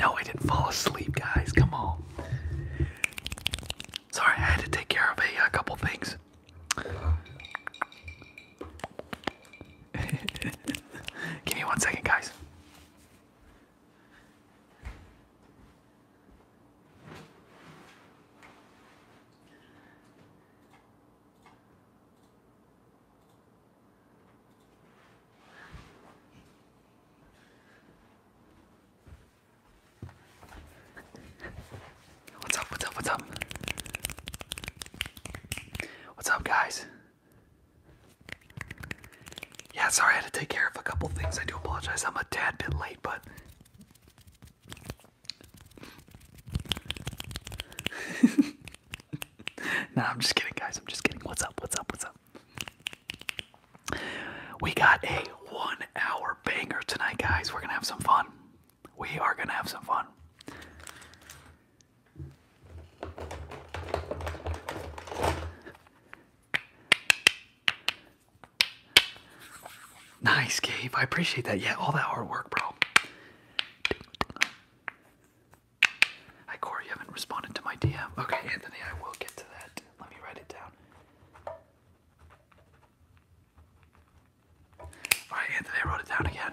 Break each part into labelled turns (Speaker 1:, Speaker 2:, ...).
Speaker 1: No, I didn't fall asleep, guys. Come on. Sorry, I had to take care of a, couple things. Give me one second, guys. What's up? What's up? What's up? What's up, guys? Yeah, sorry, I had to take care of a couple things. I do apologize. I'm a tad bit late, but. nah, I'm just kidding, guys. I'm just kidding. What's up? What's up? What's up? We got a one hour banger tonight, guys. We're going to have some fun. We are going to have some fun. Nice, Gabe. I appreciate that. Yeah, all that hard work, bro. Hi, Corey. You haven't responded to my DM. Okay, Anthony, I will get to that. Let me write it down. All right, Anthony, I wrote it down again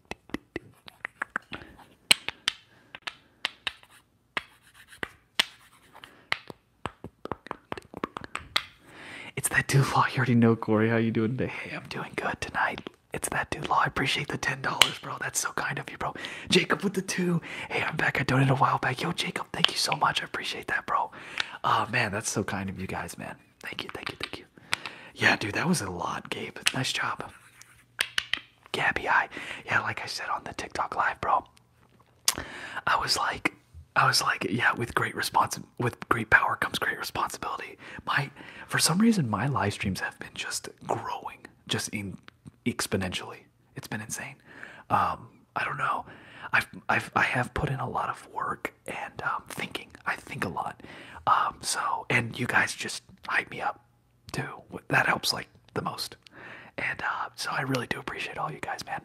Speaker 1: It's that dude law. You already know, Corey. How you doing today? Hey, I'm doing good tonight. It's that dude law. I appreciate the ten dollars, bro. That's so kind of you, bro. Jacob with the two. Hey, I'm back. I donated a while back. Yo, Jacob, thank you so much. I appreciate that, bro. Oh man, that's so kind of you guys, man. Thank you, thank you, thank you. Yeah, dude, that was a lot, Gabe. Nice job. Gabby I. Yeah, like I said on the TikTok live, bro. I was like I was like, yeah, with great response with great power comes great responsibility. My for some reason my live streams have been just growing, just exponentially. It's been insane. Um, I don't know. I've I've I have put in a lot of work and um, thinking. I think a lot. Um, so and you guys just hype me up too. That helps like the most. And uh, so I really do appreciate all you guys, man.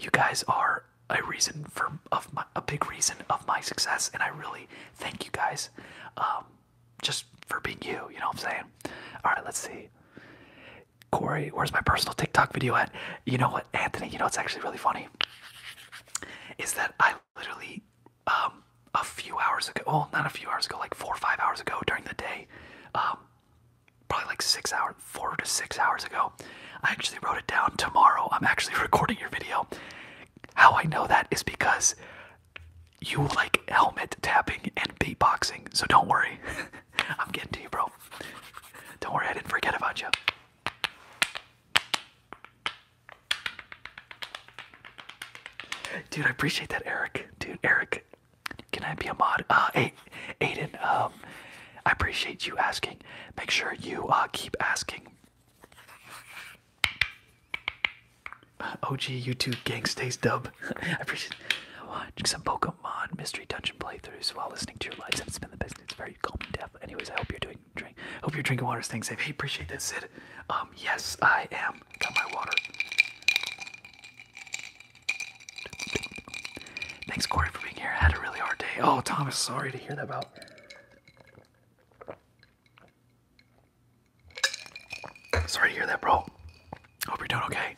Speaker 1: You guys are a reason for of a big reason of my success, and I really thank you guys, um, just for being you. You know what I'm saying? All right, let's see. Corey, where's my personal TikTok video at? You know what, Anthony? You know it's actually really funny is that I literally um, a few hours ago, well, not a few hours ago, like four or five hours ago during the day, um, probably like six hours, four to six hours ago, I actually wrote it down. Tomorrow, I'm actually recording your video. How I know that is because you like helmet tapping and beatboxing, so don't worry. I'm getting to you, bro. Don't worry, I didn't forget about you. Dude, I appreciate that, Eric. Dude, Eric, can I be a mod? Uh, hey, Aiden, um, I appreciate you asking. Make sure you uh, keep asking. OG YouTube gang stays dub. I appreciate watching some Pokemon mystery dungeon playthroughs while listening to your lives. It's been the best. It's very calming death. Anyways, I hope you're doing drink. Hope you're drinking water, staying safe. Hey, appreciate that, Sid. Um, yes, I am. Got my water. Thanks, Corey, for being here. I had a really hard day. Oh, Thomas, sorry to hear that bro. Sorry to hear that, bro. Hope you're doing okay.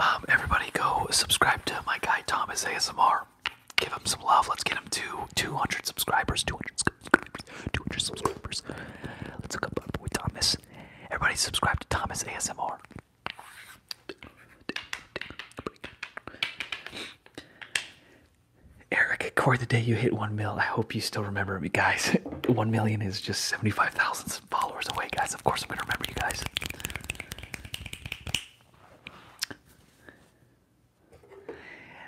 Speaker 1: Um, everybody, go subscribe to my guy Thomas ASMR. Give him some love. Let's get him to 200 subscribers. 200. 200 subscribers. Let's hook up our boy Thomas. Everybody subscribe to Thomas ASMR. Eric, Corey, the day you hit 1 mil, I hope you still remember me, guys. 1 million is just 75,000 followers away, guys. Of course, I'm going to remember you guys.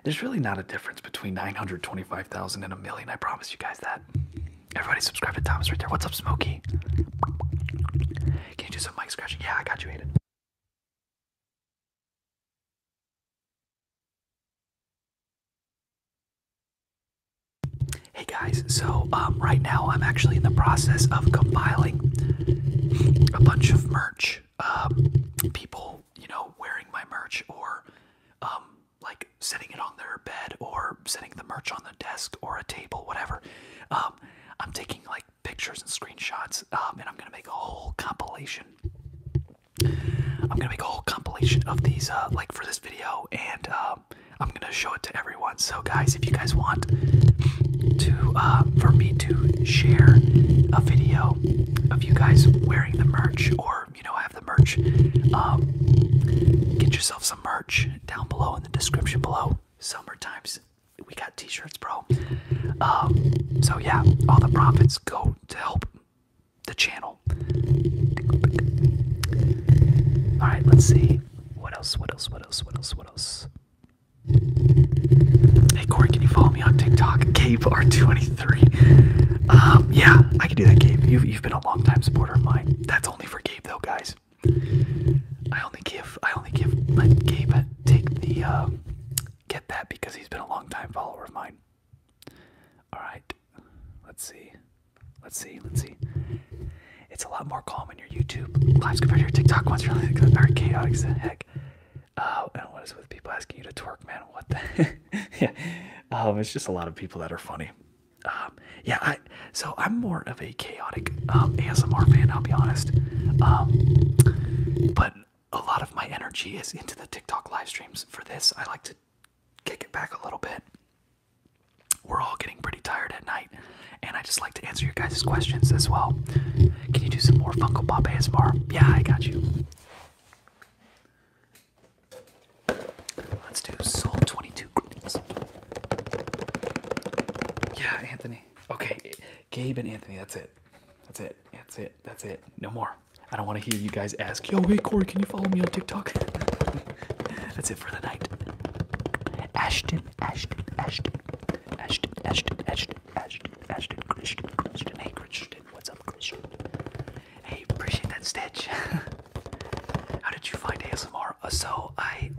Speaker 1: There's really not a difference between 925,000 and a million. I promise you guys that. Everybody subscribe to Thomas right there. What's up, Smokey? Can you do some mic scratching? Yeah, I got you, Aiden. Hey guys, so um, right now I'm actually in the process of compiling a bunch of merch. Um, people, you know, wearing my merch or um, like setting it on their bed or setting the merch on the desk or a table, whatever. Um, I'm taking like pictures and screenshots, um, and I'm gonna make a whole compilation. I'm gonna make a whole compilation of these, uh, like for this video, and um, I'm gonna show it to everyone. So, guys, if you guys want to, uh, for me to share a video of you guys wearing the merch or you know have the merch um, get yourself some merch down below in the description below summer we got t-shirts bro um, so yeah all the profits go to help the channel all right let's see what else what else what else what else what else Hey Corey, can you follow me on TikTok? Gabe 23 um, yeah, I can do that, Gabe. You you've been a long time supporter of mine. That's only for Gabe though, guys. I only give I only give let Gabe take the uh, get that because he's been a long time follower of mine. Alright. Let's see. Let's see, let's see. It's a lot more calm in your YouTube lives compared to your TikTok ones. Really, very chaotic as heck. Uh, and what is with people asking you to twerk, man? What the? yeah, um, it's just a lot of people that are funny. Um, yeah, I, so I'm more of a chaotic um, ASMR fan. I'll be honest, but a lot of my energy is into the TikTok live streams. For this, I like to kick it back a little bit. We're all getting pretty tired at night, and I just like to answer your guys' questions as well. Can you do some more Funko Pop ASMR? Yeah, I got you. Let's do Soul 22 Greetings. Yeah, Anthony. Okay, Gabe and Anthony, that's it. That's it. That's it. That's it. No more. I don't want to hear you guys ask, yo, hey, Corey, can you follow me on TikTok? that's it for the night. Ashton, Ashton, Ashton, Ashton, Ashton, Ashton, Ashton, Ashton, Christian, Christian. Hey, Christian, what's up, Christian? Hey, appreciate that stitch. How did you find ASMR? Uh, so I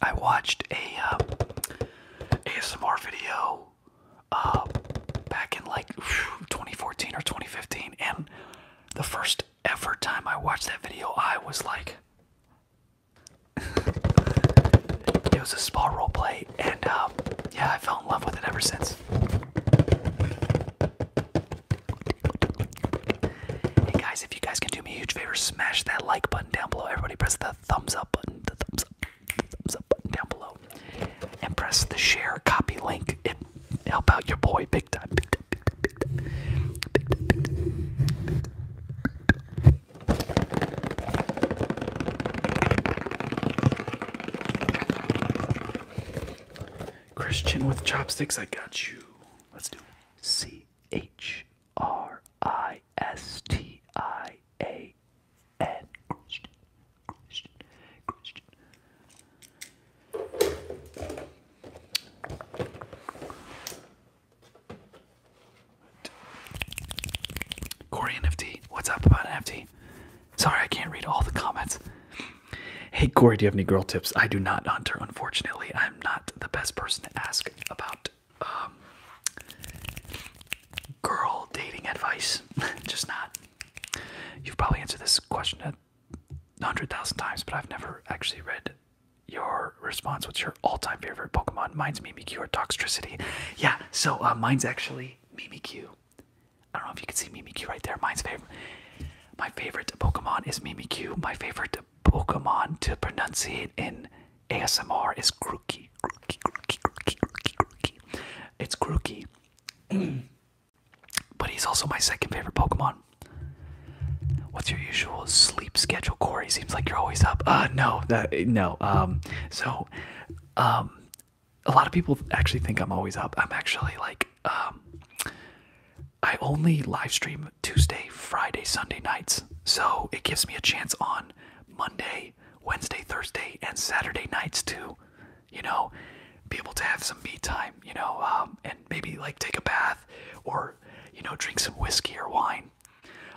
Speaker 1: I watched a uh, um, ASMR video uh, back in like 2014 or 2015, and the first ever time I watched that video, I was like, it was a small role play, and um, yeah, I fell in love with it ever since. Hey guys, if you guys can do me a huge favor, smash that like button down below. Everybody press the thumbs up button, thumbs up, button down below. And press the share copy link. and help out your boy big time. Christian with chopsticks, I got you. Let's do C H R I S T I A N. Christian, Christian, Christian. Corey NFT, what's up about NFT? Sorry, I can't read all the comments. Hey, Corey, do you have any girl tips? I do not, Hunter. Unfortunately, I'm not the best person to ask about um, girl dating advice. Just not. You've probably answered this question a hundred thousand times, but I've never actually read your response. What's your all-time favorite Pokemon? Mine's Mimikyu or Toxicity. Yeah, so uh, mine's actually Mimikyu. I don't know if you can see Mimi Mimikyu right there. Mine's favorite. My favorite Pokemon is Mimi Mimikyu. My favorite Pokemon to pronounce it in ASMR is Grookey. Grookey, Grookey, Grookey, Grookey, Grookey. It's Grookey. but he's also my second favorite Pokemon. What's your usual sleep schedule, Corey? Seems like you're always up. Uh, no, that, no. Um, so, um, a lot of people actually think I'm always up. I'm actually like, um, I only live stream Tuesday, Friday, Sunday nights. So it gives me a chance on Monday, Wednesday, Thursday, and Saturday nights to, you know, be able to have some me time, you know, um, and maybe like take a bath or, you know, drink some whiskey or wine.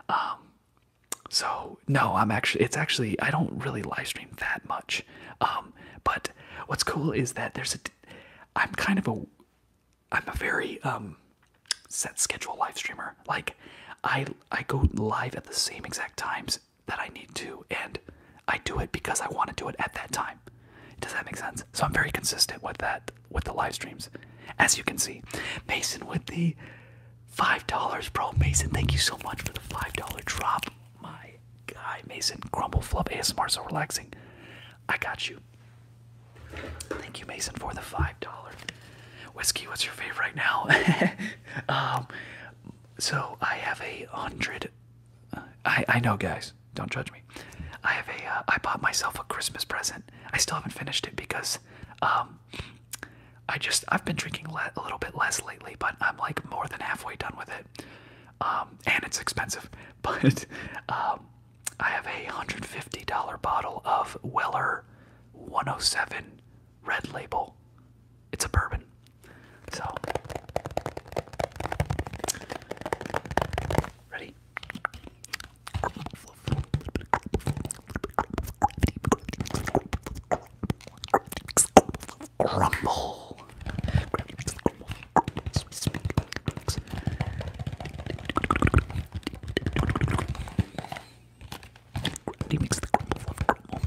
Speaker 1: Um, so no, I'm actually, it's actually, I don't really live stream that much. Um, but what's cool is that there's a. I'm kind of a. I'm a very um, set schedule live streamer. Like, I I go live at the same exact times that I need to, and I do it because I want to do it at that time. Does that make sense? So I'm very consistent with that with the live streams, as you can see. Mason with the five dollars, bro. Mason, thank you so much for the five dollar drop. My Hi Mason. Crumble Flub ASMR, so relaxing. I got you. Thank you, Mason, for the $5. Whiskey, what's your favorite right now? um, so I have a hundred. Uh, I, I know, guys. Don't judge me. I have a. Uh, bought myself a Christmas present. I still haven't finished it because, um, I just I've been drinking a little bit less lately, but I'm like more than halfway done with it. Um, and it's expensive, but um, I have a $150 bottle of Weller 107 Red Label. It's a bourbon. So, ready? Grumble. He makes the crumble of crumble.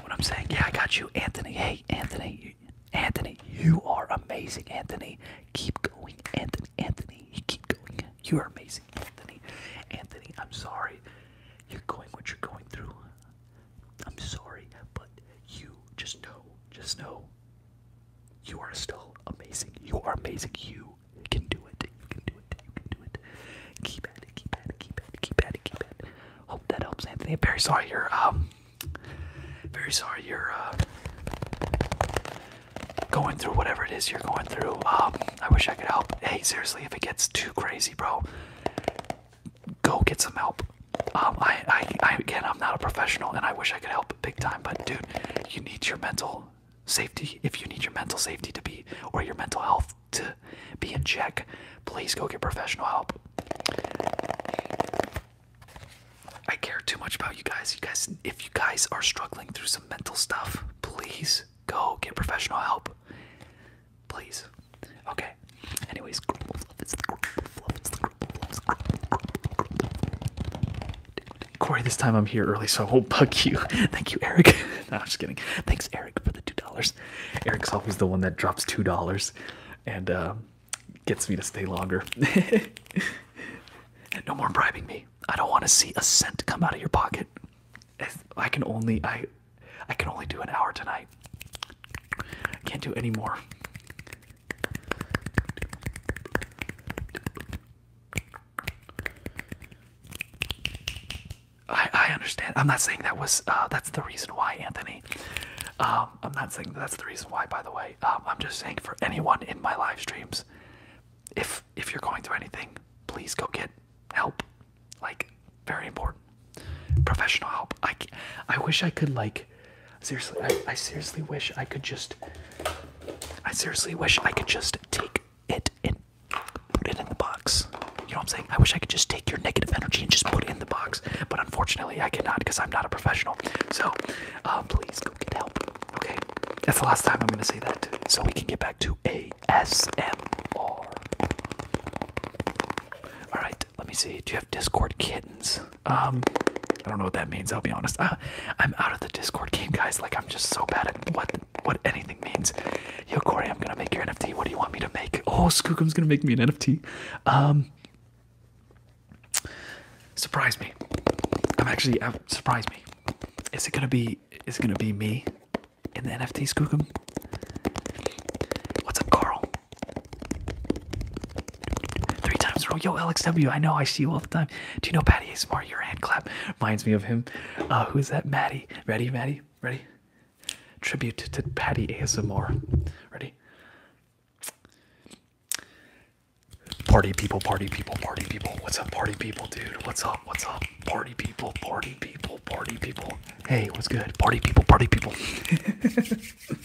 Speaker 1: What I'm saying, yeah, I got you, Anthony. Hey, Anthony, Anthony, you are amazing, Anthony. Keep going, Anthony, Anthony. Keep going. You are amazing, Anthony. Anthony, I'm sorry you're going what you're going through. I'm sorry, but you just know, just know, you are still amazing. You are amazing. You can do it. You can do it. You can do it. Keep at it. Keep at it. Keep at it. Keep at it. Keep at it. Hope that helps, Anthony. very sorry you're um, very sorry you're uh, going through whatever it is you're going through. Um, I wish I could help. Hey, seriously, if it gets too crazy, bro, go get some help. Um, I, I, again, I'm not a professional, and I wish I could help big time. But dude, you need your mental safety. If you need your mental safety to be, or your mental health to be in check, please go get professional help. I care too much about you guys. You guys, if you guys are struggling through some mental stuff, please go get professional help. Please. Okay. Anyways, crumble fluff. It's the crumble fluff. It's the crumble fluff. Corey, this time I'm here early, so I won't bug you. Thank you, Eric. no, I'm just kidding. Thanks, Eric, for the $2. Eric's always the one that drops $2 and uh, gets me to stay longer. no more bribing me. I don't want to see a cent come out of your pocket. I can only, I I can only do an hour tonight. I can't do any more. I, I understand. I'm not saying that was uh, that's the reason why, Anthony. Um, I'm not saying that's the reason why. By the way, um, I'm just saying for anyone in my live streams, if if you're going through anything, please go get help. Like, very important. Professional help. I, I wish I could, like, seriously, I, I seriously wish I could just, I seriously wish I could just take it and put it in the box. You know what I'm saying? I wish I could just take your negative energy and just put it in the box, but unfortunately, I cannot because I'm not a professional. So, uh, please go get help. Okay, that's the last time I'm gonna say that, so we can get back to ASMR. All right, let me see. Do you have Discord kittens? Um, I don't know what that means. I'll be honest. Ah, I'm out of the Discord game, guys. Like I'm just so bad at what what anything means. Yo, Corey, I'm gonna make your NFT. What do you want me to make? Oh, Skookum's gonna make me an NFT. Um, surprise me. I'm actually uh, surprise me. Is it gonna be? Is it gonna be me? in the NFTs, Google. What's up, Carl? Three times in a Yo, LXW, I know I see you all the time. Do you know Patty ASMR? Your hand clap reminds me of him. Uh, who is that? Maddie. Ready, Maddie? Ready? Tribute to Patty ASMR. Ready? Party people, party people, party people. What's up, party people, dude? What's up? What's up? Party people, party people, party people. Hey, what's good? Party people, party people.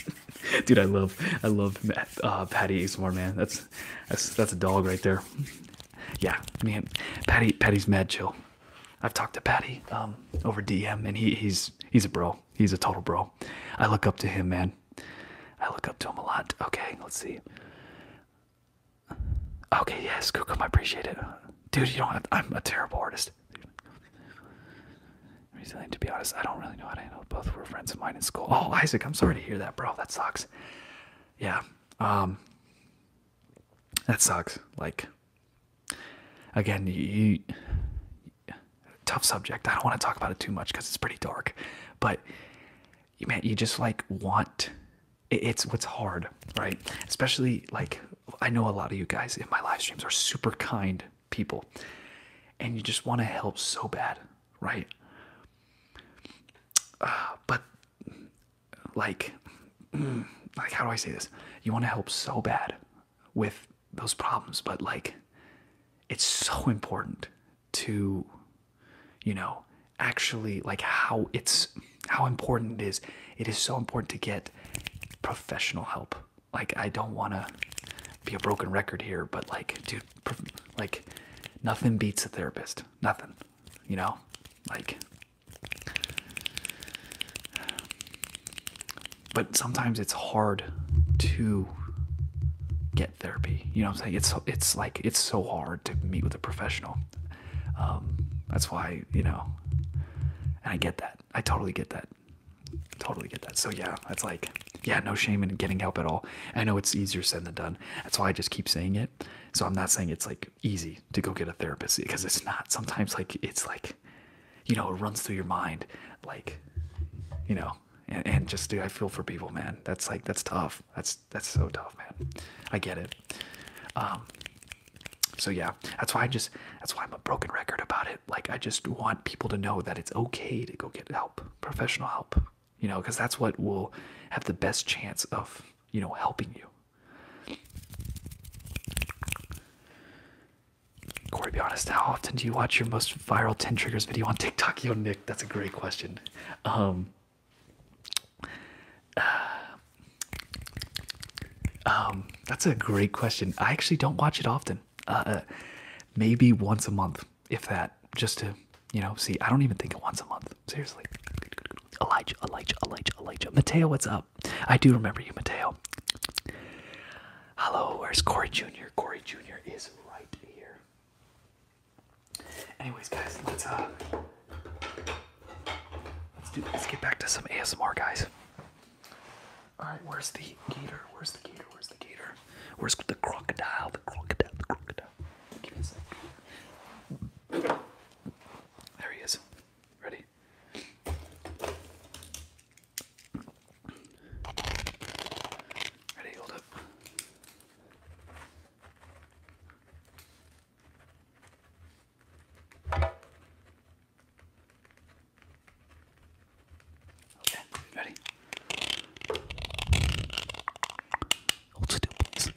Speaker 1: Dude, I love, I love uh, Patty ASMR, man. That's, that's, that's a dog right there. Yeah, man. Patty, Patty's mad chill. I've talked to Patty um, over DM, and he, he's, he's a bro. He's a total bro. I look up to him, man. I look up to him a lot. Okay, let's see. Okay, yes, Kukum, I appreciate it. Dude, you don't have, I'm a terrible artist. Resilient, to be honest, I don't really know how to handle it. Both were friends of mine in school. Oh, Isaac, I'm sorry to hear that, bro. That sucks. Yeah. Um, that sucks. Like, again, you, tough subject. I don't want to talk about it too much because it's pretty dark. But you man, you just like want. it's what's hard, right? Especially like I know a lot of you guys in my live streams are super kind people and you just want to help so bad, right? Uh, but like mm, like how do I say this? You want to help so bad with those problems, but like it's so important to you know actually like how it's how important it is. It is so important to get professional help. Like I don't want to be a broken record here, but like, dude, like nothing beats a therapist. Nothing, you know, like. But sometimes it's hard to get therapy. You know what I'm saying? It's it's like it's so hard to meet with a professional. Um, that's why you know, and I get that. I totally get that. Totally get that. So yeah, that's like, yeah, no shame in getting help at all. I know it's easier said than done. That's why I just keep saying it. So I'm not saying it's like easy to go get a therapist because it's not. Sometimes like it's like, you know, it runs through your mind, like, you know, and, and just do I feel for people, man. That's like that's tough. That's that's so tough, man. I get it. Um, so yeah, that's why I just that's why I'm a broken record about it. Like I just want people to know that it's okay to go get help, professional help. You know, because that's what will have the best chance of, you know, helping you. Corey, be honest, how often do you watch your most viral 10 triggers video on TikTok? Yo, Nick, that's a great question. Um, uh, um, that's a great question. I actually don't watch it often. Uh, uh, maybe once a month, if that, just to you know see. I don't even think it once a month. Seriously. Elijah, Elijah, Elijah, Elijah. Mateo, what's up? I do remember you, Mateo. Hello, where's Corey Jr.? Corey Jr. is right here. Anyways, guys, let's uh, let's do let's get back to some ASMR, guys. All right, where's the gator? Where's the gator? Where's the gator? Where's the crocodile? The crocodile, the crocodile. Give me a sec. There he is. Ready? Ready, hold up. Okay, ready? Hold still, please.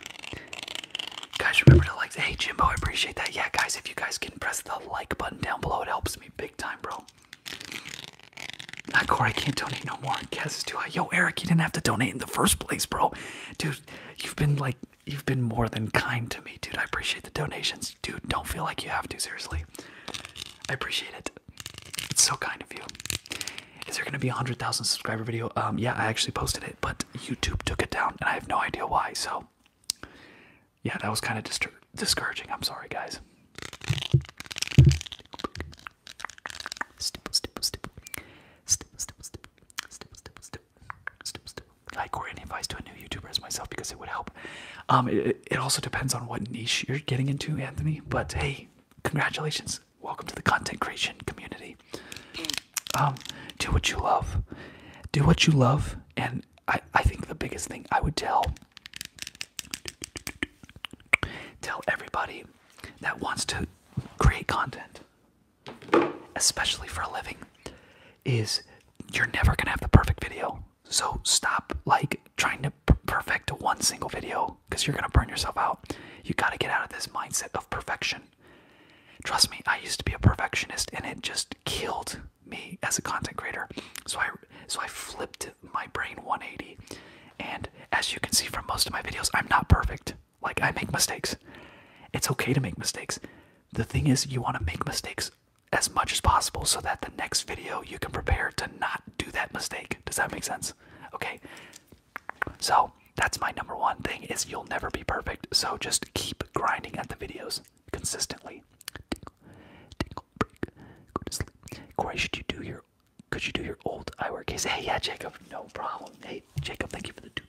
Speaker 1: Guys, remember to like. Hey, Jimbo, I appreciate that. Yeah, guys, if you guys can press the like button down below, it helps me big time, bro. Not Corey, I can't donate no more. Guess is too high. Yo, Eric, you didn't have to donate in the first place, bro. Dude, you've been like you've been more than kind to me, dude. I appreciate the donations. Dude, don't feel like you have to, seriously. I appreciate it. It's so kind of you. Is there gonna be a hundred thousand subscriber video? Um yeah, I actually posted it, but YouTube took it down and I have no idea why, so yeah, that was kind of distur discouraging. I'm sorry, guys like or any advice to a new YouTuber as myself because it would help. Um, it, also depends on what niche you're getting into, Anthony. But hey, congratulations! Welcome to the content creation community. Um, do what you love. Do what you love, and I, I think the biggest thing I would tell tell everybody that wants to create content, especially for a living, is you're never gonna have the perfect video. So stop like trying to perfect one single video because you're gonna burn yourself out. You gotta get out of this mindset of perfection. Trust me, I used to be a perfectionist and it just killed me as a content creator. So I so I flipped my brain 180. And as you can see from most of my videos, I'm not perfect. Like I make mistakes. It's okay to make mistakes. The thing is, you want to make mistakes as much as possible so that the next video you can prepare to not do that mistake. Does that make sense? Okay. So that's my number one thing is you'll never be perfect. So just keep grinding at the videos consistently. Corey, should you do your could you do your old eyewear case? Hey yeah Jacob, no problem. Hey Jacob, thank you for the $2.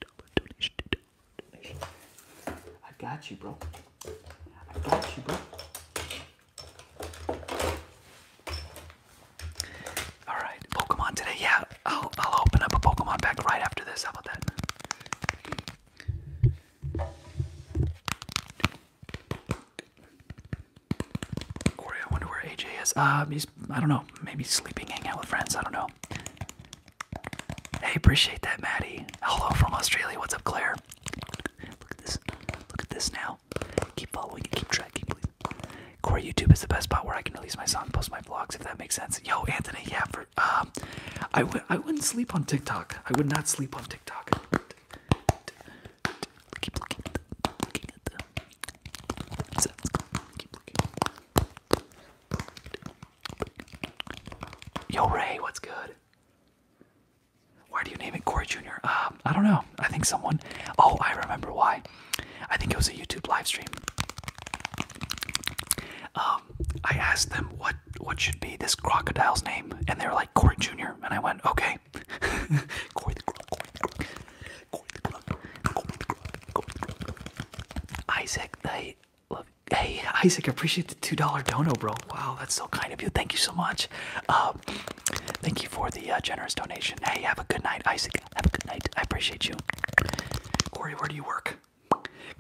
Speaker 1: I got you, bro. I got you, bro. All right, Pokemon today. Yeah, I'll I'll open up a Pokemon pack right after this. How about that? Corey, I wonder where AJ is. Uh, he's I don't know. Maybe sleeping, hanging out with friends. I don't know. Hey, appreciate that, Maddie. Hello from Australia. What's up, Claire? Look at this. Look at this now. Keep following and keep tracking, please. Core YouTube is the best spot where I can release my song, post my vlogs, if that makes sense. Yo, Anthony, yeah, for um, I would I wouldn't sleep on TikTok. I would not sleep on TikTok. Yo, Ray, what's good? Why do you name it Corey Jr.? Um, I don't know. I think someone. Oh, I remember why. I think it was a YouTube live stream. Um, I asked them what what should be this crocodile's name, and they were like Corey Jr. And I went, okay, Corey the Croc, Corey the Croc, Corey the Croc, Corey the Croc. Isaac the Love Hey, Isaac, appreciate the two dollar dono, bro. Wow, that's so kind of you. Thank you so much. Um, thank you for the uh, generous donation. Hey, have a good night, Isaac. Have a good night. I appreciate you. Corey, where do you work?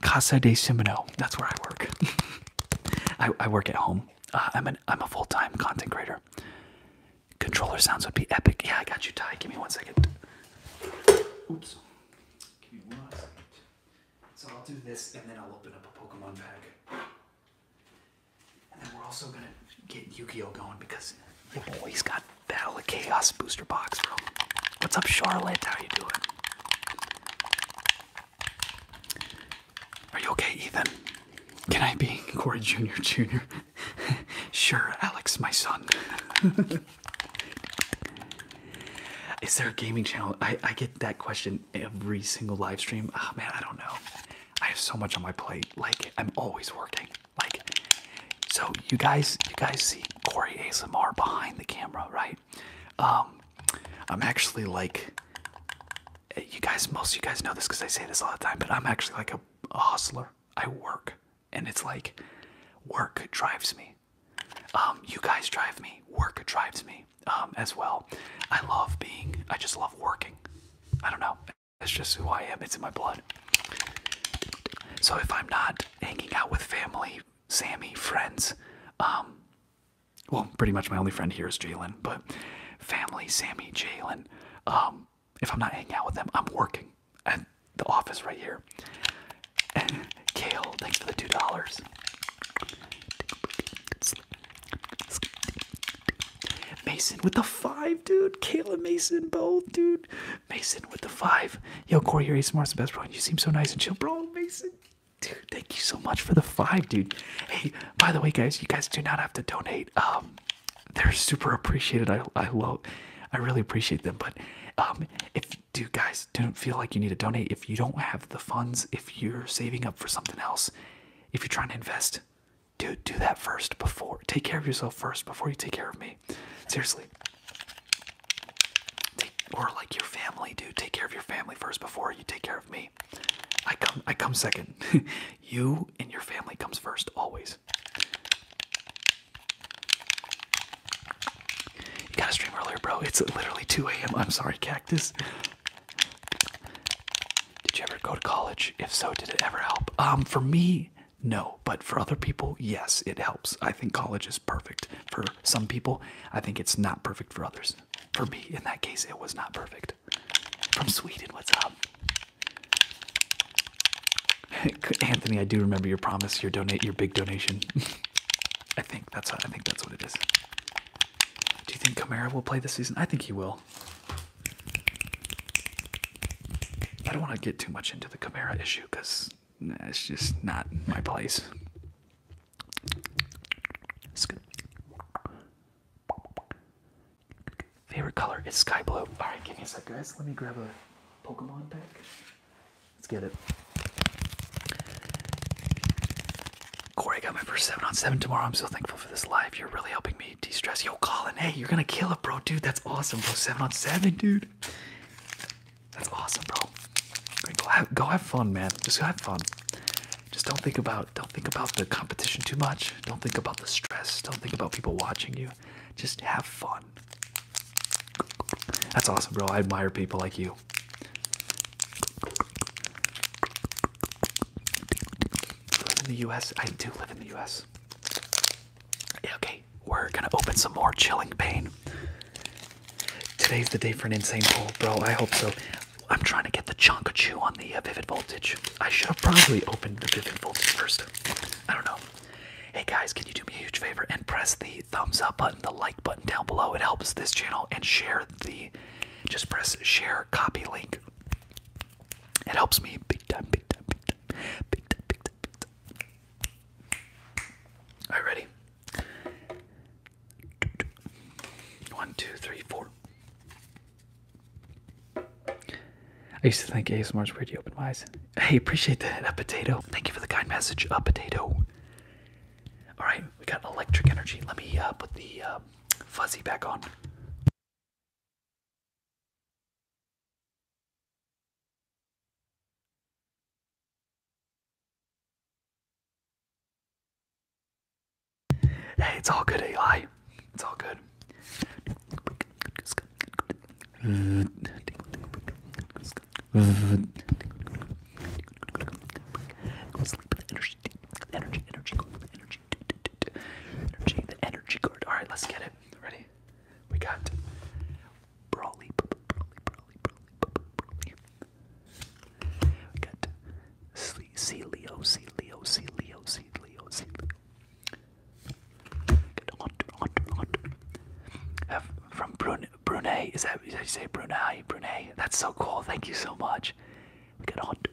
Speaker 1: Casa de Simino. That's where I work. I, I work at home. Uh, I'm an I'm a full time content creator. Controller sounds would be epic. Yeah, I got you, Ty. Give me one second. Oops. Give me one second. So I'll do this and then I'll open up a Pokemon pack. And then we're also gonna get yu going because my boy's got Battle of Chaos booster box, bro. What's up, Charlotte? How you doing? Are you okay, Ethan? Can I be Corey Jr. Jr.? sure, Alex, my son. Is there a gaming channel? I, I get that question every single live stream. Oh man, I don't know. I have so much on my plate. Like I'm always working. Like so you guys you guys see Corey ASMR behind the camera, right? Um I'm actually like you guys most of you guys know this because I say this all the time, but I'm actually like a hustler. I work and it's like work drives me um, you guys drive me. Work drives me um, as well. I love being. I just love working. I don't know. It's just who I am. It's in my blood. So if I'm not hanging out with family, Sammy, friends, um, well, pretty much my only friend here is Jalen, but family, Sammy, Jalen. Um, if I'm not hanging out with them, I'm working at the office right here. Kale, thanks for the two dollars. Mason with the five, dude. Kale and Mason both, dude. Mason with the five. Yo, Corey, you're Smart's the best, bro. You seem so nice and chill, bro. Mason, dude, thank you so much for the five, dude. Hey, by the way, guys, you guys do not have to donate. Um, they're super appreciated. I I love, I really appreciate them. But um, if do guys don't feel like you need to donate if you don't have the funds if you're saving up for something else if you're trying to invest do do that first before take care of yourself first before you take care of me seriously take, or like your family do take care of your family first before you take care of me i come i come second you and your family comes first always you gotta stream earlier bro it's literally 2 a.m i'm sorry Kevin. Did you ever go to college? If so, did it ever help? Um, for me, no. But for other people, yes, it helps. I think college is perfect for some people. I think it's not perfect for others. For me, in that case, it was not perfect. From Sweden, what's up? Anthony, I do remember your promise, your donate your big donation. I think that's I think that's what it is. Do you think Kamara will play this season? I think he will. I don't want to get too much into the Kamara issue because it's just not my place. Favorite color is sky blue. All right, give me a sec, guys. Let me grab a Pokemon deck. Let's get it. Corey got my first seven on seven tomorrow. I'm so thankful for this live. You're really helping me de-stress. Yo, Colin, hey, you're gonna kill it, bro, dude. That's awesome, bro. Seven on seven, dude. That's awesome, bro. Go have, go have fun, man. Just go have fun. Just don't think about don't think about the competition too much. Don't think about the stress. Don't think about people watching you. Just have fun. That's awesome, bro. I admire people like you. I live in the US. I do live in the US. Okay, we're gonna open some more chilling pain. Today's the day for an insane pull, bro. I hope so. I'm trying to get the chonka chew on the uh, vivid voltage. I should have probably opened the vivid voltage first. I don't know. Hey guys, can you do me a huge favor and press the thumbs up button, the like button down below? It helps this channel and share the copy. Just press share copy link. It helps me big time, big time, big time, big time, big time, big time. Alright, ready? One, two, three, four. I used to think ASMR's pretty open wise. Hey, appreciate that, a potato. Thank you for the kind message, a potato. All right, we got electric energy. Let me uh, put the uh, fuzzy back on. Hey, it's all good, Eli. It's all good. Go sleep with the energy, energy, energy, energy, energy, the energy card. All right, let's get it. Ready? We got Brawly, Brawly, Brawly, Brawly, Brawly. We got C, C Leo, C Leo, C Leo, C Leo, C Leo. Got Hunter, Hunter, Hunter. from Bruno Brunei. Is that you say Brunei? Brunei. That's so cool. Thank you so much. We got hunt.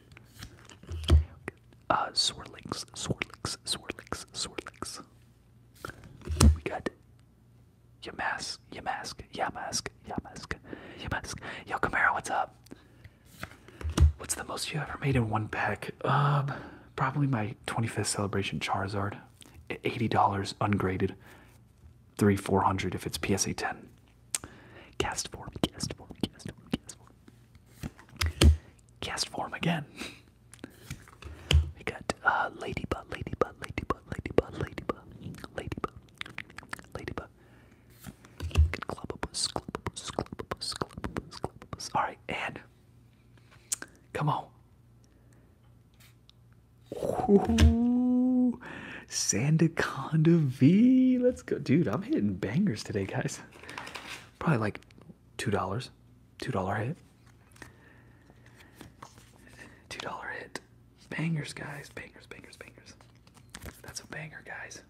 Speaker 1: Uh, Swirlix, Swirlix, Swirlix, Swirlix. We got Yamask, Yamask, Yamask, Yamask, Yamask. Yo, Camaro, what's up? What's the most you ever made in one pack? Um, probably my 25th celebration Charizard. $80 ungraded. Three four hundred if it's PSA 10. Cast form, cast form, cast form, cast form. Cast form again. We got uh, Ladybug, Ladybug, Ladybug, Ladybug, Ladybug, Ladybug, Ladybug. Good Clubopus, Clubopus, Clubopus, Clubopus, Clubopus. Alright, and. Come on. Ooh, Sandaconda V. Let's go, dude. I'm hitting bangers today, guys. Probably like two dollars, two dollar hit, two dollar hit. Bangers, guys. Bangers, bangers, bangers. That's a banger, guys.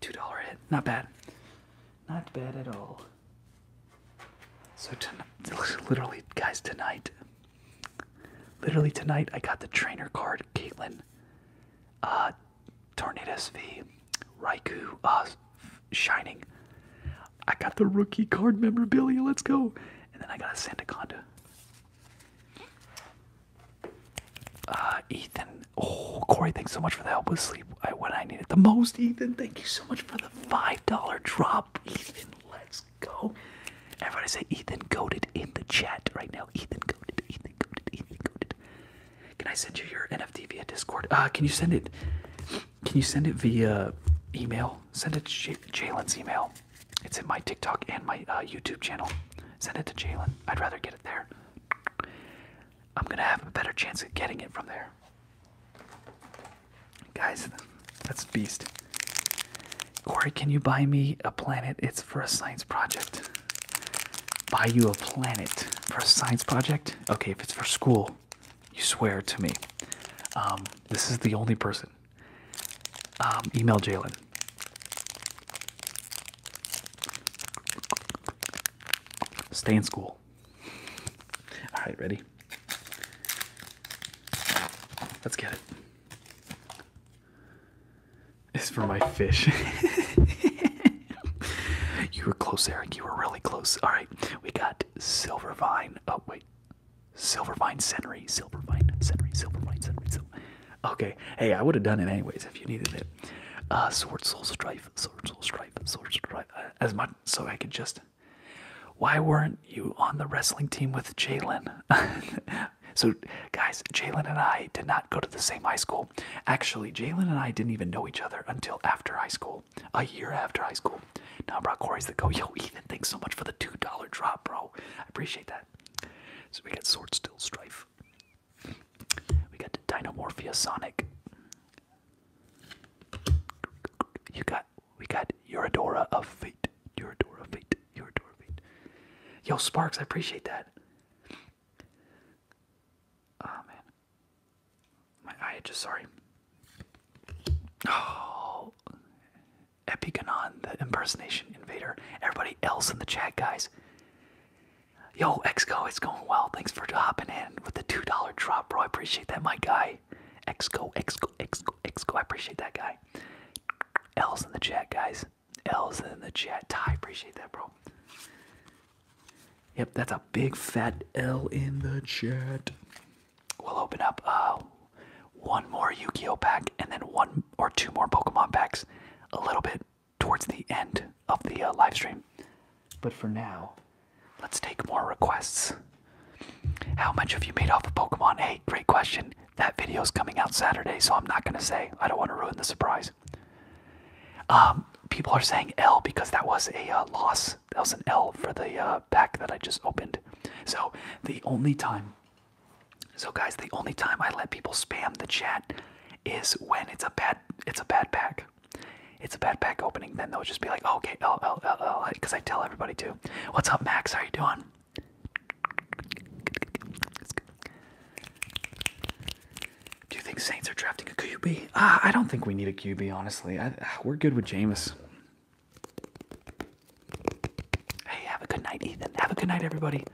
Speaker 1: $2 hit. Not bad. Not bad at all. So literally, guys, tonight, literally tonight, I got the trainer card, Caitlin, uh, Tornado SV, Raikou, uh, Shining. I got the rookie card memorabilia. Let's go. And then I got a Santaconda. Uh, Ethan. Oh, Corey, thanks so much for the help with sleep when I needed the most. Ethan, thank you so much for the $5 drop. Ethan. Let's go. Everybody say Ethan goaded in the chat right now. Ethan goaded, Ethan goaded, Ethan goaded. Can I send you your NFT via Discord? Uh, can you send it? Can you send it via email? Send it to Jalen's email. It's in my TikTok and my uh, YouTube channel. Send it to Jalen. I'd rather get it there. I'm gonna have a better chance of getting it from there. Guys, that's beast. Corey, can you buy me a planet? It's for a science project. Buy you a planet for a science project? Okay, if it's for school, you swear to me. Um, this is the only person. Um, email Jalen. Stay in school. All right, ready? Let's get it. It's for my fish. you were close, Eric. You were really close. All right, we got Silvervine. Oh, wait. Silvervine Senry. Silvervine Senry. Silvervine Senry. Sil okay. Hey, I would have done it anyways if you needed it. Uh, sword Soul Strife. Sword Soul Strife. Sword Soul Strife. Uh, as much so I could just why weren't you on the wrestling team with Jalen? so, guys, Jalen and I did not go to the same high school. Actually, Jalen and I didn't even know each other until after high school, a year after high school. Now, bro, Corey's the go. Yo, Ethan, thanks so much for the $2 drop, bro. I appreciate that. So, we got Sword Still Strife. We got Dinomorphia Sonic. You got we got Eurodora of Fate. Eurodora of Fate. Eurodora of Fate. Yo, Sparks, I appreciate that. Oh man. My eye just sorry. Oh Epigonon, the impersonation invader. Everybody else in the chat, guys. Yo, Exco, it's going well. Thanks for dropping in with the $2 drop, bro. I appreciate that, my guy. Exco, Exco, Exco, Exco. I appreciate that guy. L's in the chat, guys. L's in the chat. Ty, appreciate that, bro. Yep, that's a big fat L in the chat. We'll open up uh, one more Yu-Gi-Oh pack and then one or two more Pokemon packs a little bit towards the end of the uh, live stream. But for now, Let's take more requests. How much have you made off of Pokemon? Hey, great question. That video is coming out Saturday, so I'm not going to say. I don't want to ruin the surprise. Um, people are saying L because that was a uh, loss. That was an L for the uh, pack that I just opened. So the only time, so guys, the only time I let people spam the chat is when it's a bad, it's a bad pack. It's a bad pack opening. Then they'll just be like, oh, okay, L L L L, because I tell everybody to. What's up, Max? How you doing? Do you think Saints are drafting a QB? Uh, ah, I don't think we need a QB, honestly. Ah, we're good with Jameis. Hey, have a good night, Ethan. Have a good night, everybody.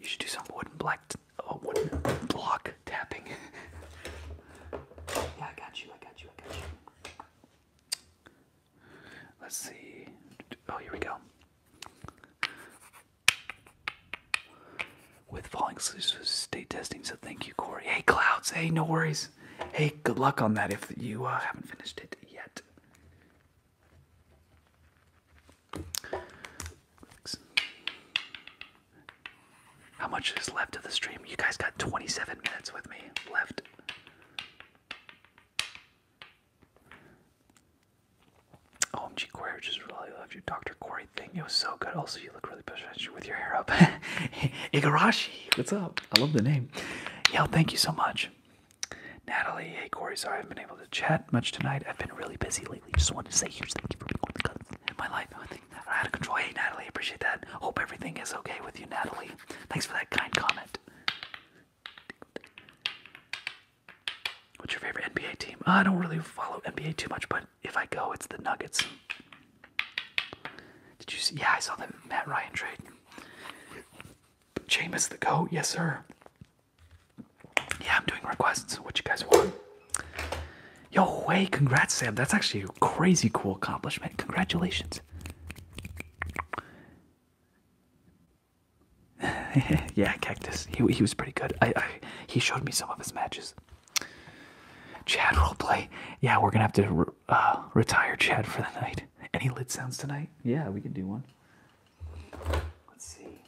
Speaker 1: You should do some wooden black, block tapping. I got you. I got you. I got you. Let's see. Oh, here we go. With falling state testing, so thank you, Corey. Hey, Clouds. Hey, no worries. Hey, good luck on that if you uh, haven't finished it yet. How much is left of the stream? You guys got 27 minutes with me left. OMG Corey, I just really loved your Dr. Corey thing. It was so good. Also, you look really professional with your hair up. Igarashi, what's up? I love the name. Yo, thank you so much. Natalie, hey Corey, sorry I haven't been able to chat much tonight. I've been really busy lately. Just wanted to say huge thank you for being on the in my life out of control. Hey, Natalie, appreciate that. Hope everything is okay with you, Natalie. Thanks for that kind comment. What's your favorite NBA team? I don't really follow NBA too much, but if I go, it's the Nuggets. Did you see? Yeah, I saw the Matt Ryan trade. Jameis the goat, yes sir. Yeah, I'm doing requests. What you guys want? Yo, way! congrats, Sam. That's actually a crazy cool accomplishment. Congratulations. yeah, Cactus. He he was pretty good. I, I he showed me some of his matches. Chad roleplay. Yeah, we're gonna have to uh, retire Chad for the night. Any lid sounds tonight? Yeah, we can do one. Let's see.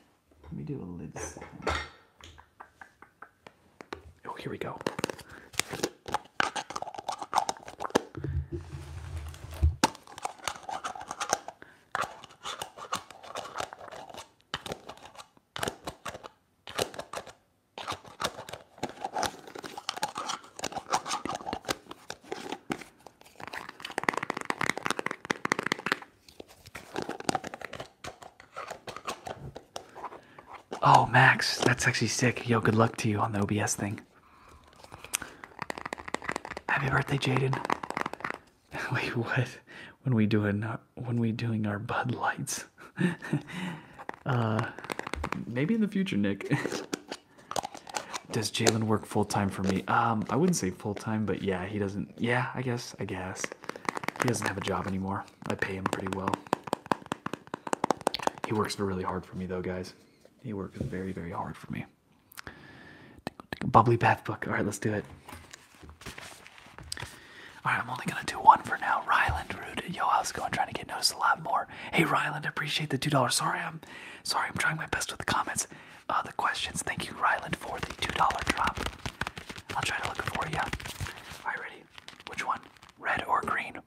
Speaker 1: Let me do a lid sound. Oh, here we go. Oh, Max, that's actually sick. Yo, good luck to you on the OBS thing. Happy birthday, Jaden. Wait, what? When we doing uh, when we doing our Bud Lights? Uh, maybe in the future, Nick. Does Jalen work full time for me? Um, I wouldn't say full time, but yeah, he doesn't. Yeah, I guess. I guess he doesn't have a job anymore. I pay him pretty well. He works really hard for me, though, guys. He works very, very hard for me. Bubbly bath book. All right, let's do it. All right, I'm only gonna do one for now. Ryland, rude. Yo, how's it going? Trying to get noticed a lot more. Hey, Ryland, appreciate the two dollars. Sorry, I'm sorry. I'm trying my best with the comments, uh, the questions. Thank you, Ryland, for the two dollar drop. I'll try to look for you. All right, ready? Which one? Red or green?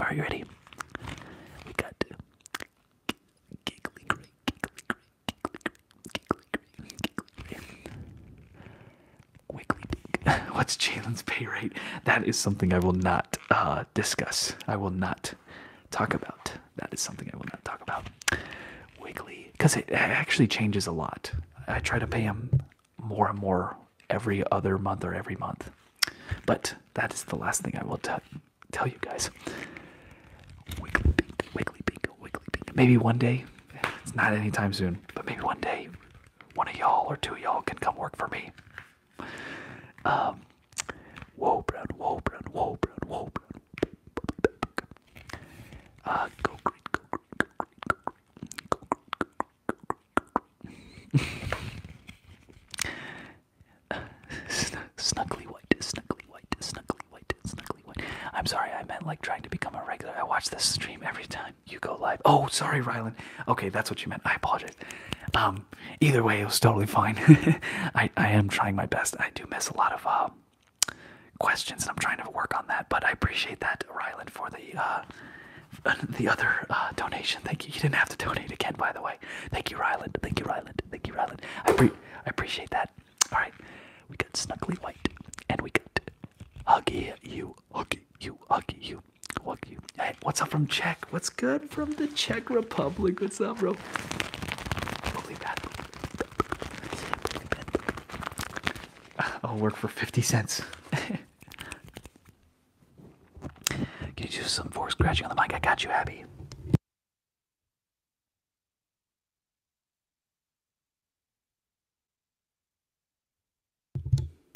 Speaker 1: Are you ready? We got to What's Jalen's pay rate? That is something I will not uh, discuss. I will not talk about. That is something I will not talk about. Wiggly, because it actually changes a lot. I try to pay him more and more every other month or every month. But that is the last thing I will tell tell you guys. Wiggly pink, wiggly pink, wiggly pink. Maybe one day, it's not anytime soon, but maybe one day one of y'all or two of y'all can come work for me. Um Whoa brown, whoa brown, whoa brown, whoa brown. Uh go green, go green, go green, go green, snuggly white, snuggly white, snuggly white, snuggly white. I'm sorry, I meant like trying to become a regular. I watch this stream every time you go live. Oh, sorry, Rylan. Okay, that's what you meant. I apologize. Um, either way, it was totally fine. I I am trying my best. I do miss a lot of um, questions, and I'm trying to work on that. But I appreciate that, Rylan, for the uh, the other uh, donation. Thank you. You didn't have to donate again, by the way. Thank you, Ryland. Thank you, Ryland. Thank you, Ryland. I, pre I appreciate that. All right, we got Snuggly White, and we got Huggy You, Huggy You, Huggy You, Huggy You. Hey, what's up from Czech? What's good from the Czech Republic? What's up, bro? I'll work for 50 cents. Can you do some force scratching on the mic? I got you, Abby.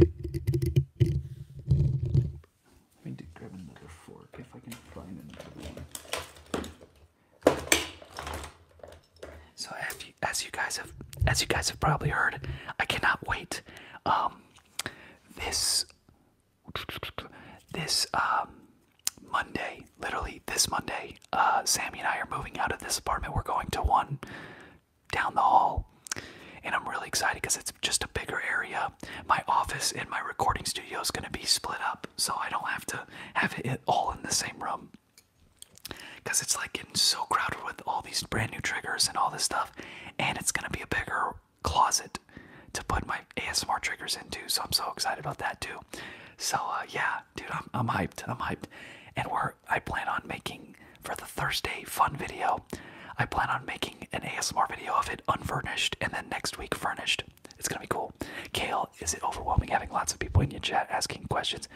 Speaker 1: Let me grab another fork if I can find another one. So, as you, as you guys have, as you guys have probably heard, I cannot wait. Um, this this um, Monday, literally this Monday, uh, Sammy and I are moving out of this apartment. We're going to one down the hall, and I'm really excited because it's just a bigger area. My office and my recording studio is going to be split up, so I don't have to have it all in the same room. Because it's like getting so crowded with all these brand new triggers and all this stuff. And it's gonna be a bigger closet to put my ASMR triggers into. So I'm so excited about that too. So uh, yeah, dude, I'm I'm hyped. I'm hyped. And we I plan on making for the Thursday fun video. I plan on making an ASMR video of it unfurnished and then next week furnished. It's gonna be cool. Kale, is it overwhelming having lots of people in your chat asking questions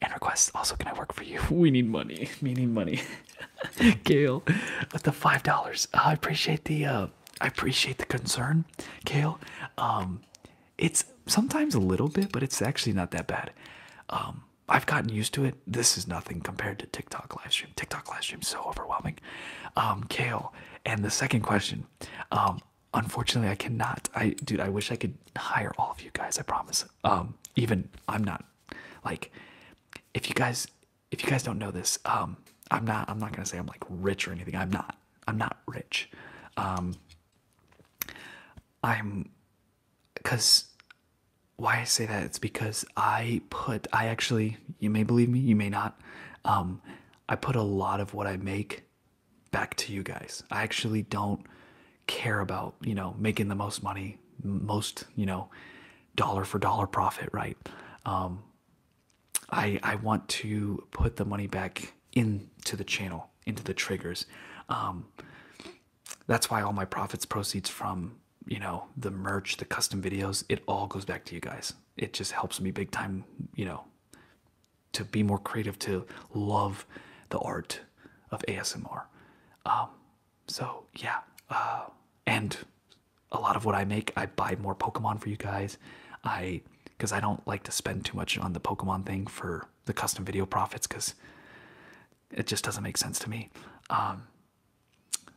Speaker 1: and requests? Also, can I work for you? We need money. We need money. Kale, with the five dollars, I appreciate the uh, I appreciate the concern, Kale. Um, it's sometimes a little bit, but it's actually not that bad. Um, I've gotten used to it. This is nothing compared to TikTok live stream. TikTok live stream so overwhelming. Um, Kale, and the second question. Um, unfortunately, I cannot. I dude, I wish I could hire all of you guys. I promise. Um, even I'm not like if you guys if you guys don't know this, um, I'm not I'm not gonna say I'm like rich or anything. I'm not I'm not rich. Um, I'm because why I say that it's because I put I actually you may believe me you may not um, I put a lot of what I make back to you guys. I actually don't care about you know making the most money most you know dollar for dollar profit right um, i i want to put the money back into the channel into the triggers um, that's why all my profits proceeds from you know the merch the custom videos it all goes back to you guys it just helps me big time you know to be more creative to love the art of asmr um, so yeah, uh, and a lot of what I make, I buy more Pokemon for you guys. I because I don't like to spend too much on the Pokemon thing for the custom video profits because it just doesn't make sense to me. Um,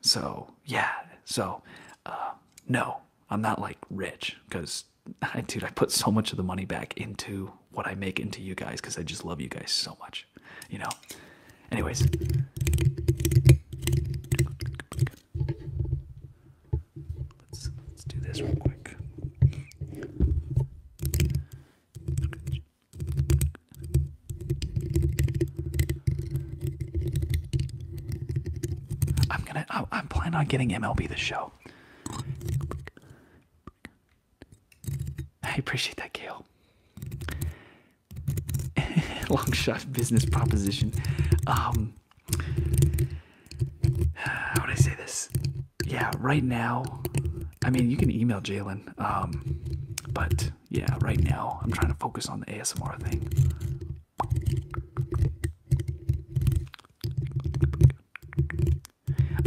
Speaker 1: so yeah, so uh, no, I'm not like rich because dude, I put so much of the money back into what I make into you guys because I just love you guys so much you know. Anyways. Let's do this real quick. I'm gonna. I, am going to i am planning on getting MLB the show. I appreciate that, Gail. Long shot business proposition. Um, how would I say this? Yeah, right now. I mean, you can email Jalen. Um, but yeah, right now I'm trying to focus on the ASMR thing.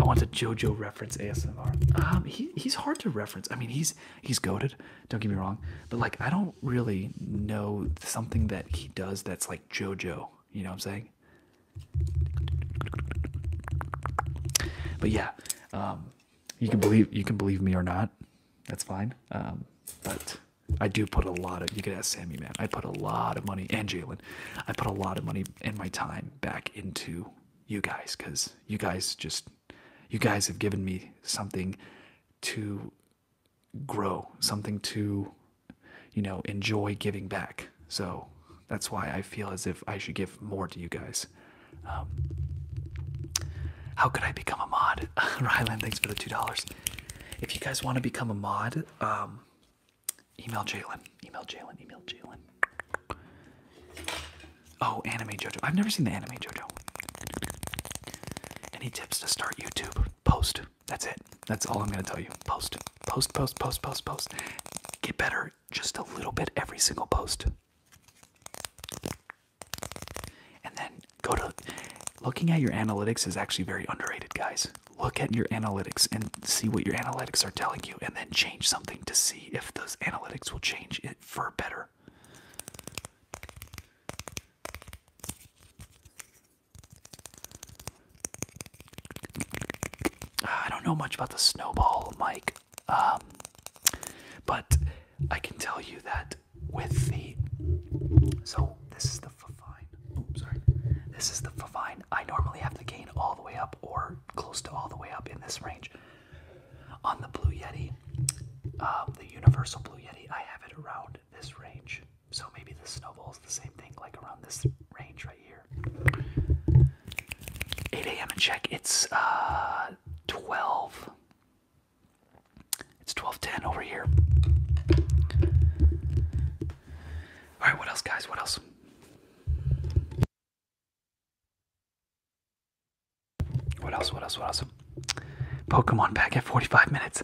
Speaker 1: I want to JoJo reference ASMR. Um, he, he's hard to reference. I mean, he's he's goaded. Don't get me wrong, but like I don't really know something that he does that's like JoJo. You know what I'm saying? But yeah, um, you can believe you can believe me or not. That's fine. Um, but I do put a lot of. You could ask Sammy, man. I put a lot of money and Jalen. I put a lot of money and my time back into you guys because you guys just you guys have given me something to grow, something to, you know, enjoy giving back. So that's why I feel as if I should give more to you guys. Um, how could I become a mod? Ryland, thanks for the $2. If you guys want to become a mod, um, email Jalen. Email Jalen. Email Jalen. Oh, anime JoJo. I've never seen the anime JoJo. Any tips to start YouTube? Post. That's it. That's all I'm gonna tell you. Post. Post, post, post, post, post. Get better just a little bit every single post. And then go to looking at your analytics is actually very underrated, guys. Look at your analytics and see what your analytics are telling you, and then change something to see if those analytics will change it for better. Uh, I don't know much about the snowball mic, um, but I can tell you that with the so this is the favine. Oh, sorry. This is the favine. I normally have the gain all the way up or close to all the way up in this range. On the Blue Yeti, um, the Universal Blue Yeti, I have it around this range. So maybe the snowball is the same thing, like around this range right here. 8 a.m. and check. It's uh, 12. It's 12:10 over here. All right, what else, guys? What else? What else? What else? What else? Pokemon pack at 45 minutes.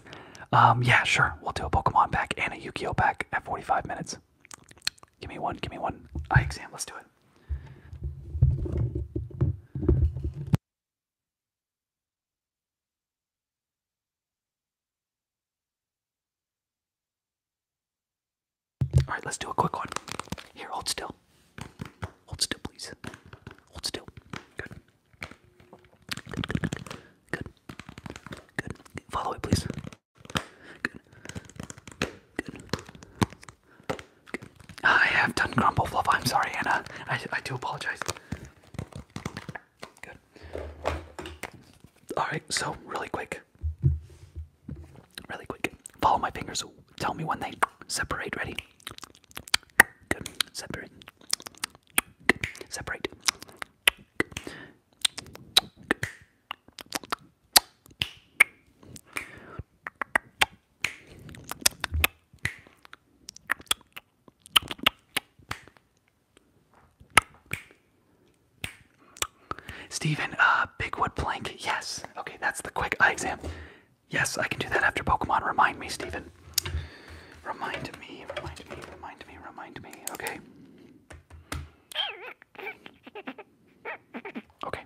Speaker 1: Um, yeah, sure. We'll do a Pokemon pack and a yu pack at 45 minutes. Give me one. Give me one. I exam. Let's do it. All right, let's do a quick one. Here, hold still. Hold still, please. Hold still. Good. Good, good, good. Follow me, please. Good. Good. Good. I have done grumble fluff. I'm sorry, Anna. I, I do apologize. Good. Alright, so really quick. Really quick. Follow my fingers. Tell me when they separate. Ready? Good. Separate. Separate. Good. Stephen, uh, Bigwood plank. Yes. Okay, that's the quick eye exam. Yes, I can do that after Pokemon. Remind me, Steven. Remind me, remind me, remind me, remind me. Okay. Okay.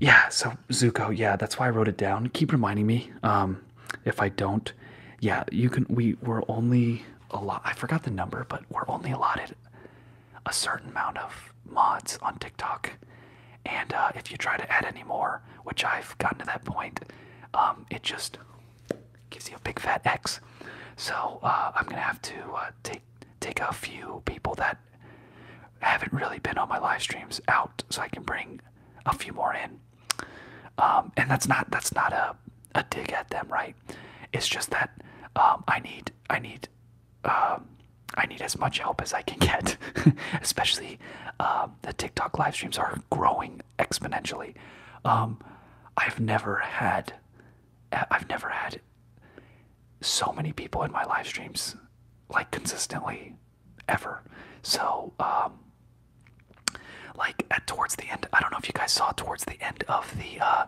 Speaker 1: Yeah, so Zuko, yeah, that's why I wrote it down. Keep reminding me. Um if I don't, yeah, you can we we're only a lot I forgot the number, but we're only allotted a certain amount of mods on TikTok, and uh, if you try to add any more, which I've gotten to that point, um, it just gives you a big fat X. So uh, I'm gonna have to uh, take take a few people that haven't really been on my live streams out, so I can bring a few more in. Um, and that's not that's not a a dig at them, right? It's just that um, I need I need uh, I need as much help as I can get, especially um, the TikTok live streams are growing exponentially. Um, I've never had, I've never had so many people in my live streams, like consistently, ever. So, um, like at towards the end, I don't know if you guys saw towards the end of the uh,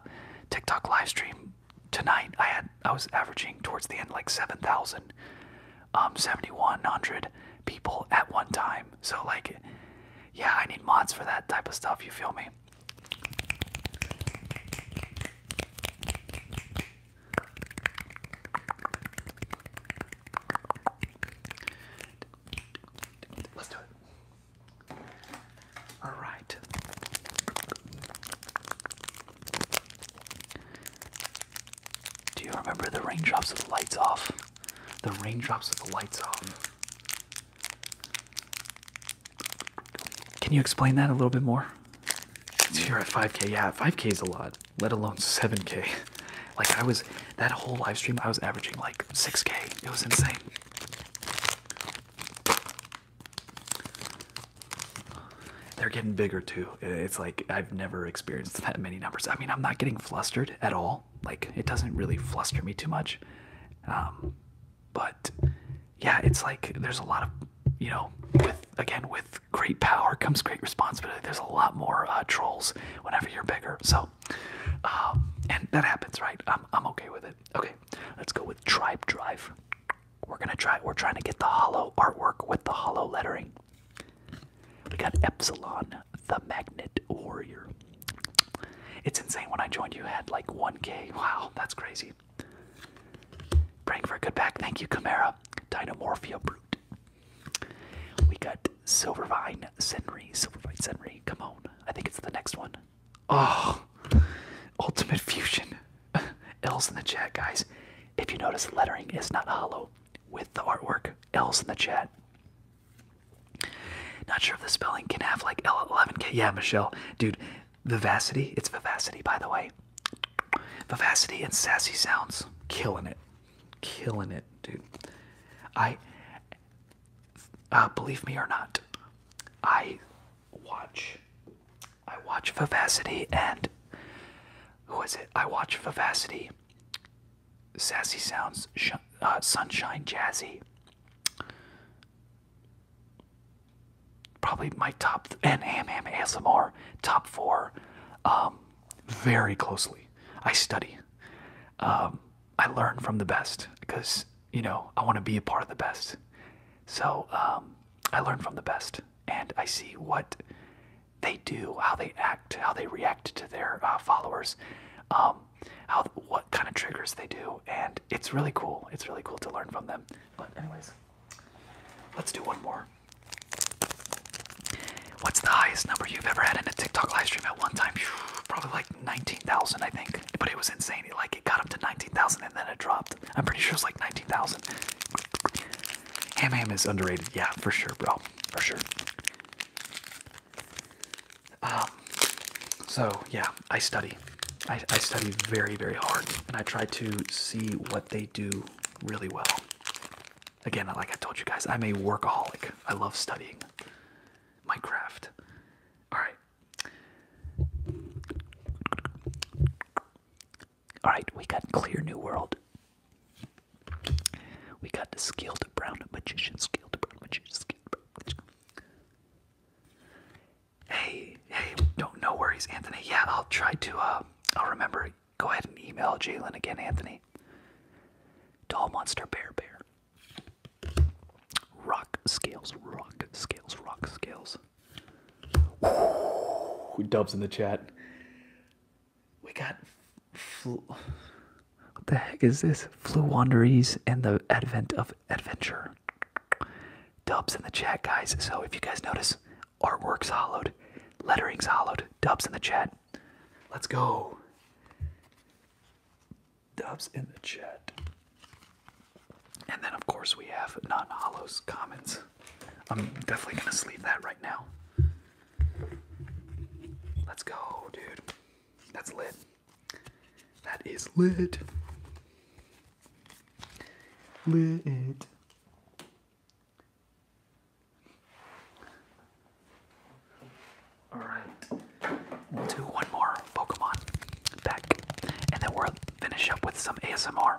Speaker 1: TikTok live stream tonight I had I was averaging towards the end like 7,000 um 7100 people at one time. So like yeah, I need mods for that type of stuff, you feel me? Let's do it. All right. Do you remember the raindrops with the lights off? The raindrops with the lights off. Can you explain that a little bit more? You're at 5k. Yeah, 5k is a lot, let alone 7k. Like, I was, that whole live stream, I was averaging like 6k. It was insane. They're getting bigger too. It's like I've never experienced that many numbers. I mean, I'm not getting flustered at all. Like, it doesn't really fluster me too much. Um, but yeah, it's like there's a lot of, you know, with again, with great power comes great responsibility. There's a lot more uh, trolls whenever you're bigger. So, um, and that happens, right? I'm, I'm okay with it. Okay, let's go with Tribe Drive. We're gonna try. We're trying to get the hollow artwork with the hollow lettering. We got Epsilon, the Magnet Warrior. It's insane. When I joined, you had like 1K. Wow, that's crazy. Praying for a good back. Thank you, Chimera. Dynomorphia Brute. We got Silvervine Senri. Silvervine Senri. Come on. I think it's the next one. Oh, Ultimate Fusion. L's in the chat, guys. If you notice, the lettering is not hollow with the artwork. L's in the chat. Not sure if the spelling can have like L11K. Yeah, Michelle. Dude, vivacity. It's vivacity, by the way. Vivacity and sassy sounds. Killing it. Killing it, dude. I, uh, believe me or not, I watch I watch Vivacity and who is it? I watch Vivacity, Sassy Sounds, uh, Sunshine Jazzy. Probably my top and Ham Ham ASMR top four, um, very closely. I study. Um, I learn from the best because you know I want to be a part of the best. So um, I learn from the best, and I see what they do, how they act, how they react to their uh, followers, um, how what kind of triggers they do, and it's really cool. It's really cool to learn from them. But anyways, let's do one more. What's the highest number you've ever had in a TikTok live stream at one time? Probably like 19,000, I think. But it was insane. Like got up to 19,000 and then it dropped. I'm pretty sure it's like 19,000. Ham Ham is underrated. Yeah, for sure, bro. For sure. Um, so yeah, I study. I, I study very, very hard and I try to see what they do really well. Again, like I told you guys, I'm a workaholic. I love studying Minecraft. All right. Alright, we got Clear New World. We got the Skilled Brown Magician, Skilled Brown Magician, Skilled Brown Magician. Hey, hey, don't, no worries, Anthony. Yeah, I'll try to, uh, I'll remember. Go ahead and email Jalen again, Anthony. Doll Monster Bear Bear. Rock scales, rock scales, rock scales. Woo, dubs in the chat. We got flu. What the heck is this? Flu Wanderies and the Advent of Adventure. Dubs in the chat, guys. So if you guys notice, artwork's hollowed, lettering's hollowed. Dubs in the chat. Let's go. Dubs in the chat. And then, of course, we have non hollows commons. I'm definitely going to sleep that right now. Let's go, dude. That's lit. That is lit. Lit. Alright. We'll do one more Pokemon deck. And then we'll finish up with some ASMR.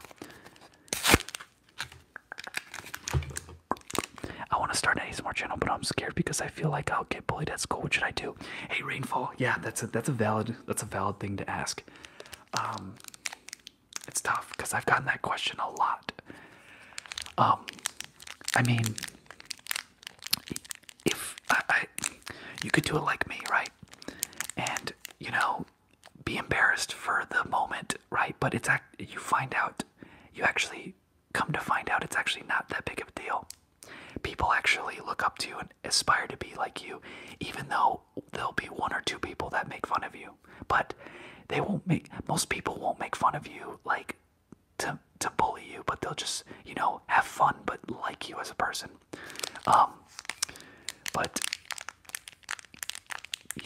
Speaker 1: I want to start an ASMR channel, but I'm scared because I feel like I'll get bullied at school. What should I do? Hey, rainfall. Yeah, that's a that's a valid that's a valid thing to ask. Um, it's tough because I've gotten that question a lot. Um, I mean, if I, you could do it like me, right? And you know, be embarrassed for the moment, right? But it's act you find out, you actually come to find out it's actually not that big of a deal. People actually look up to you and aspire to be like you, even though there'll be one or two people that make fun of you. But they won't make most people won't make fun of you like to to bully you, but they'll just, you know, have fun but like you as a person. Um, but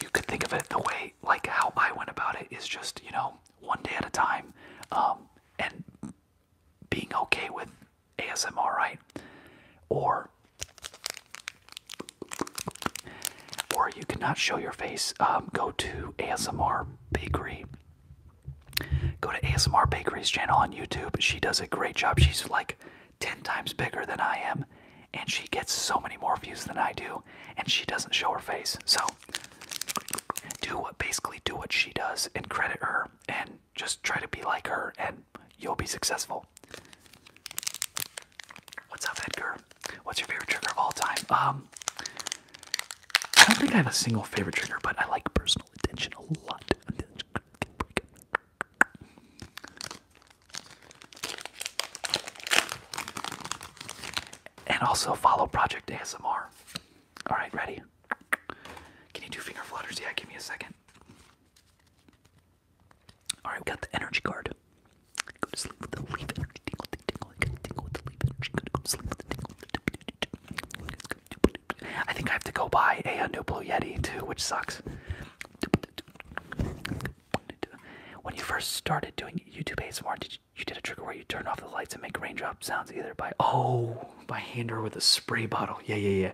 Speaker 1: you could think of it the way, like how I went about it, is just you know one day at a time, um, and being okay with ASMR, right? Or or you cannot show your face. Um, go to ASMR Bakery. Go to ASMR Bakery's channel on YouTube. She does a great job. She's like 10 times bigger than I am, and she gets so many more views than I do, and she doesn't show her face. So, do what basically do what she does and credit her, and just try to be like her, and you'll be successful. What's up, Edgar? What's your favorite trigger of all time? Um, I don't think I have a single favorite trigger, but I like personal attention a lot. And also follow Project ASMR. All right, ready? Can you do finger flutters? Yeah, give me a second. All right, we got the energy card. I think I have to go buy a, a new Blue Yeti too, which sucks. When you first started doing YouTube ASMR, did you, you did a trick where you turn off the lights and make raindrop sounds either by oh by hand or with a spray bottle? Yeah, yeah, yeah.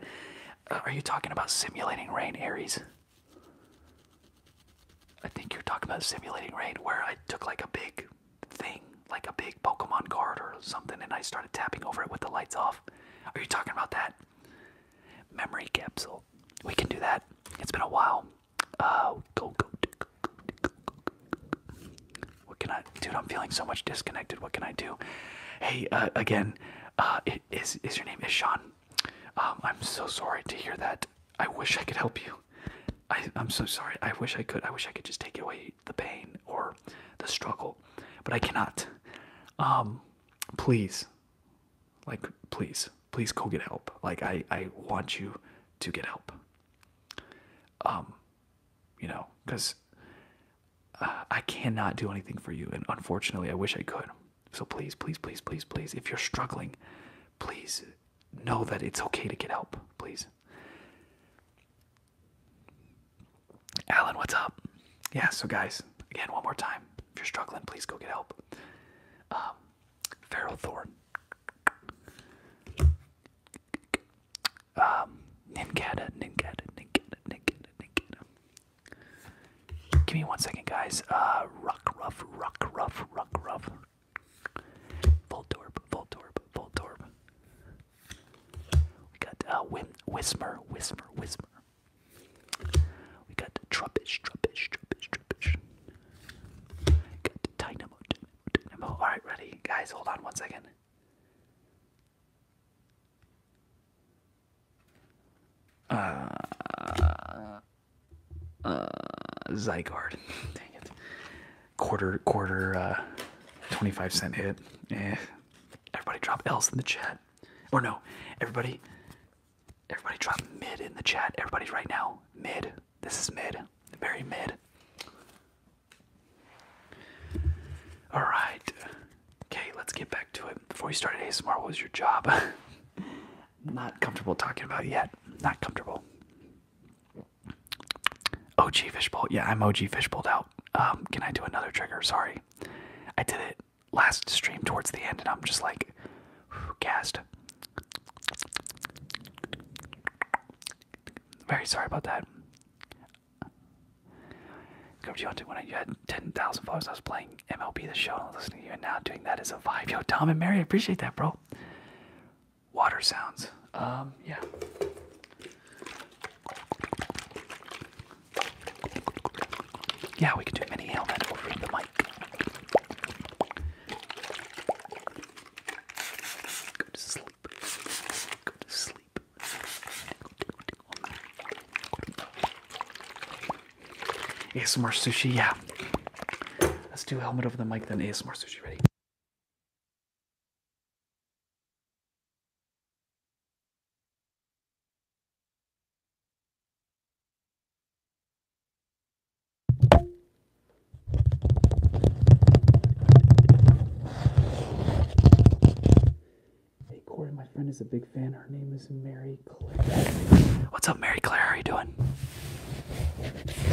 Speaker 1: Uh, are you talking about simulating rain, Aries? I think you're talking about simulating rain, where I took like a big thing, like a big Pokemon card or something, and I started tapping over it with the lights off. Are you talking about that? Memory capsule. We can do that. It's been a while. Uh, go, go, What can I, dude? I'm feeling so much disconnected. What can I do? Hey, uh, again, uh, is is your name is Sean? Um, I'm so sorry to hear that. I wish I could help you. I, am so sorry. I wish I could. I wish I could just take away the pain or the struggle, but I cannot. Um, please, like, please, please go get help. Like, I, I want you to get help. Um, you know, because uh, I cannot do anything for you. And unfortunately, I wish I could. So please, please, please, please, please, if you're struggling, please know that it's okay to get help. Please. Alan, what's up? Yeah, so guys, again, one more time. If you're struggling, please go get help. Um, Feral Thorn. Um, Ninkata, Ninkata, Ninkata, Give me one second, guys. Uh, Rock, Ruff, Rock, Ruff, Rock, Ruff. Voltorb, Voltorb, Voltorb. We got uh, Whismer, Whismer, Whismer. We got the trubbish, trubbish, trubbish, trubbish. Got the dynamo, dynamo. Alright, ready. Guys, hold on one second. Uh, uh, Zygarde. Dang it. Quarter, quarter, uh, 25 cent hit. Eh. Everybody drop else in the chat. Or no, everybody Everybody drop mid in the chat. Everybody right now. Mid. This is mid. Very mid. Alright. Okay, let's get back to it. Before you started ASMR, what was your job? Not comfortable talking about yet. Not comfortable. OG fishbowl. Yeah, I'm OG fishbowled out. Um, can I do another trigger? Sorry. I did it last stream towards the end, and I'm just like gasped. Very sorry about that. Go to when I had 10,000 followers. I was playing MLB the show and listening to you, and now doing that is a vibe. Yo, Tom and Mary, appreciate that, bro. Water sounds. Um, yeah. Yeah, we can do mini helmet over the mic. Go to sleep. Go to sleep. ASMR sushi, yeah. Let's do helmet over the mic, then ASMR sushi. Ready? Hey Corey, my friend is a big fan. Her name is Mary Claire. What's up, Mary Claire? How are you doing?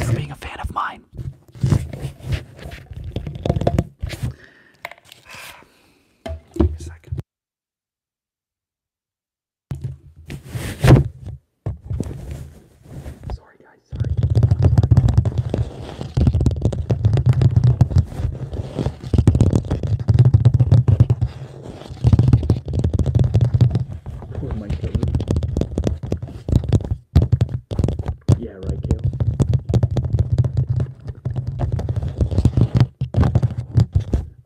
Speaker 1: For being a fan of mine. Sorry, guys, sorry. sorry. Oh Yeah, right, Kale.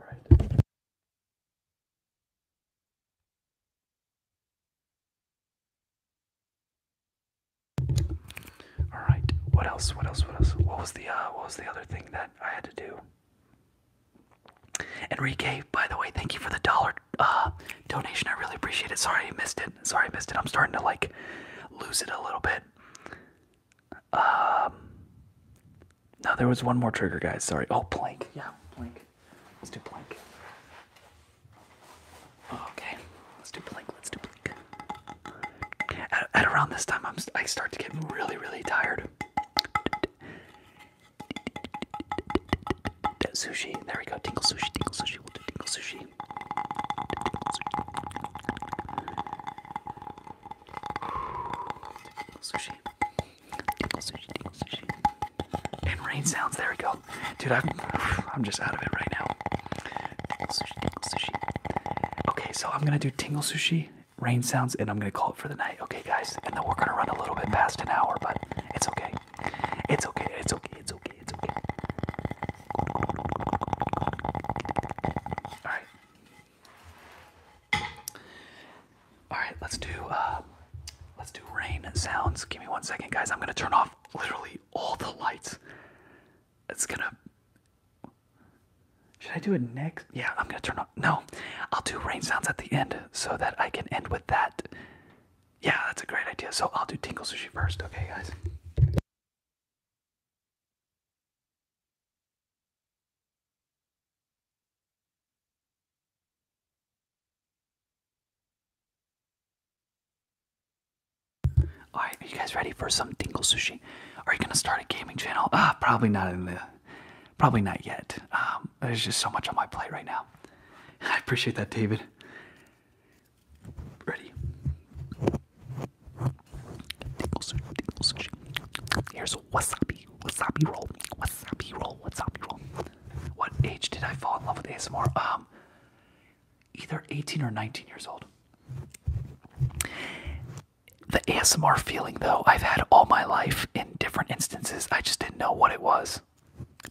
Speaker 1: Alright. All right. What else? What else? What else? What was the uh, what was the other thing that I had to do? Enrique, by the way, thank you for the dollar uh, donation. I really appreciate it. Sorry I missed it. Sorry I missed it. I'm starting to like lose it a little bit. Um, no, there was one more trigger, guys. Sorry. Oh, plank. Yeah, plank. Let's do plank. Okay, let's do plank. Let's do plank. At, around this time, I'm I start to get really, really tired. Sushi. There we go. Tinkle sushi. Tinkle sushi. We'll do tinkle sushi. Sushi. Sushi. Sushi. And rain sounds. There we go, dude. I'm I'm just out of it right now. Sushi. Sushi. Okay, so I'm gonna do tingle sushi, rain sounds, and I'm gonna call it for the night. Okay, guys, and then we're gonna run a little bit past an hour, but it's okay. It's okay. It's okay. It's okay. It's okay. All right. All right, let's do uh, let's do rain sounds. Give me one second, guys. I'm gonna turn off literally all the lights. It's gonna. Should I do it next? Yeah, I'm gonna turn off. No, I'll do rain sounds at the end so that I can end with that. Yeah, that's a great idea. So I'll do tinkle sushi first. Okay, guys. Alright, are you guys ready for some dingle sushi? Are you gonna start a gaming channel? Ah, probably not in the probably not yet. Um, there's just so much on my plate right now. I appreciate that, David. Ready. Dingle sushi, dingle sushi. Here's wasabi wasabi, wasabi roll, wasabi roll, wasabi roll. What age did I fall in love with ASMR? Um, either 18 or 19 years old. The ASMR feeling, though, I've had all my life in different instances. I just didn't know what it was.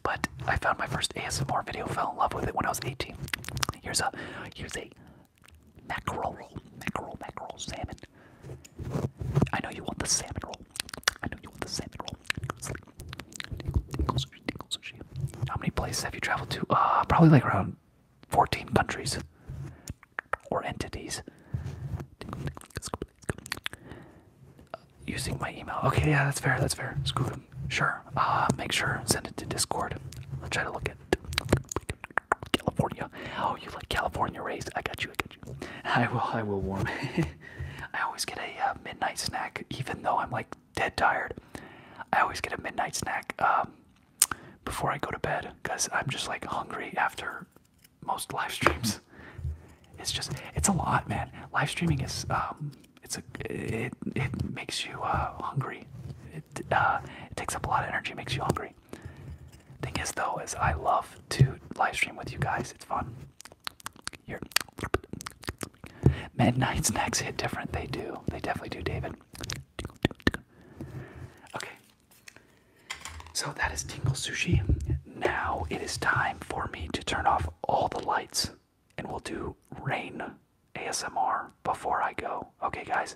Speaker 1: But I found my first ASMR video, fell in love with it when I was 18. Here's a, here's a mackerel roll, mackerel, mackerel, salmon, I know you want the salmon roll. I know you want the salmon roll. How many places have you traveled to? Uh, probably like around 14 countries or entities. using my email. Okay, yeah, that's fair. That's fair. Screw them. Sure. Uh, make sure send it to Discord. I'll try to look at. California. Oh, you like California raised? I got you. I got you. I will. I will warm. I always get a uh, midnight snack, even though I'm like dead tired. I always get a midnight snack um, before I go to bed because I'm just like hungry after most live streams. It's just it's a lot, man. Live streaming is um, it's a it it makes you uh, hungry. It uh, it takes up a lot of energy, makes you hungry thing is though is I love to live stream with you guys. It's fun. Here, midnight next hit different. They do. They definitely do, David. Okay. So that is Tingle Sushi. Now it is time for me to turn off all the lights and we'll do rain ASMR before I go. Okay, guys.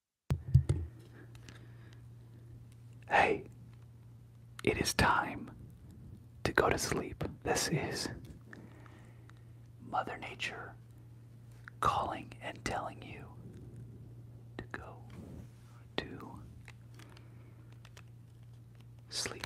Speaker 1: Hey, it is time to go to sleep. This is Mother Nature calling and telling you to go to sleep.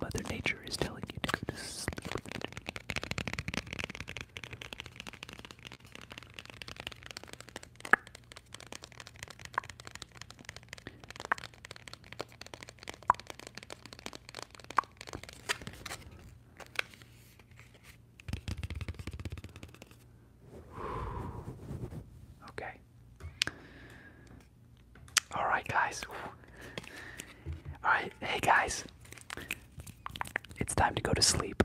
Speaker 1: Mother Nature is telling you to go to sleep. Okay. All right, guys. Alright, hey guys. It's time to go to sleep.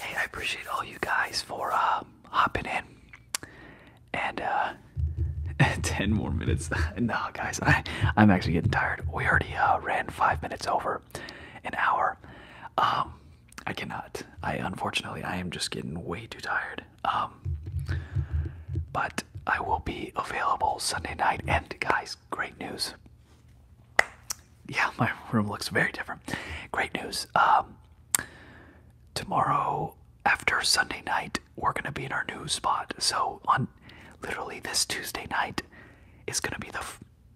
Speaker 1: Hey, I appreciate all you guys for uh, hopping in. And uh, 10 more minutes. no, guys, I, I'm actually getting tired. We already uh, ran five minutes over an hour. Um, I cannot. I unfortunately I am just getting way too tired. Um, but I will be available Sunday night. And guys, great news. Yeah, my room looks very different. Great news. Um, tomorrow after Sunday night, we're gonna be in our new spot. So on literally this Tuesday night is gonna be the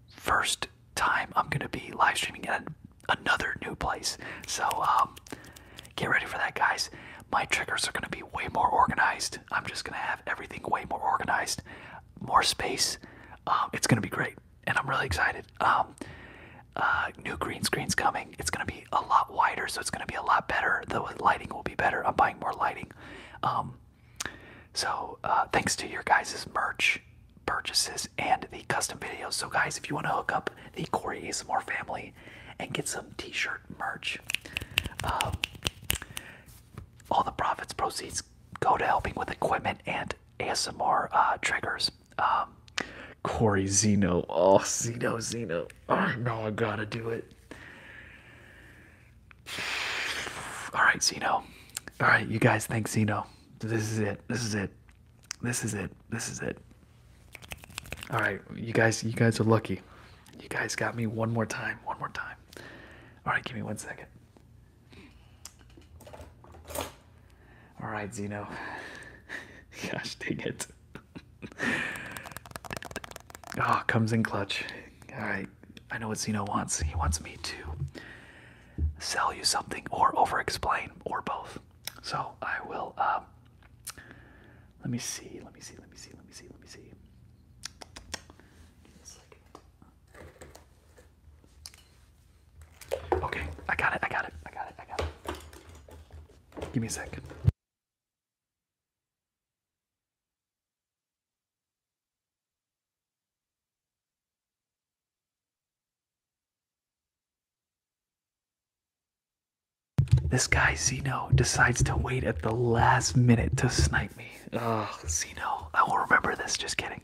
Speaker 1: first time I'm gonna be live streaming at another new place. So um, get ready for that, guys. My triggers are gonna be way more organized. I'm just gonna have everything way more organized, more space. Um, it's gonna be great, and I'm really excited. Um, uh, new green screen's coming. It's gonna be a lot wider, so it's gonna be a lot better. The lighting will be better. I'm buying more lighting. Um, so uh, thanks to your guys's merch purchases and the custom videos. So guys, if you want to hook up the Corey ASMR family and get some t-shirts merch. Um, all the profits proceeds go to helping with equipment and ASMR uh, triggers. Um, Corey Zeno, oh Zeno, Zeno, oh, No, I gotta do it. All right, Zeno. All right, you guys think Zeno? This is it. This is it. This is it. This is it. All right, you guys, you guys are lucky. You guys got me one more time. One more time. All right, give me one second. All right, Zeno. Gosh, dang it. Ah, oh, comes in clutch. All right, I know what Zeno wants. He wants me to sell you something or over explain or both. So I will, uh, let me see, let me see, let me see, let me see, let me see. Okay, I got it, I got it, I got it, I got it. Give me a second. This guy, Zeno, decides to wait at the last minute to snipe me. Oh, no, I will remember this. Just kidding.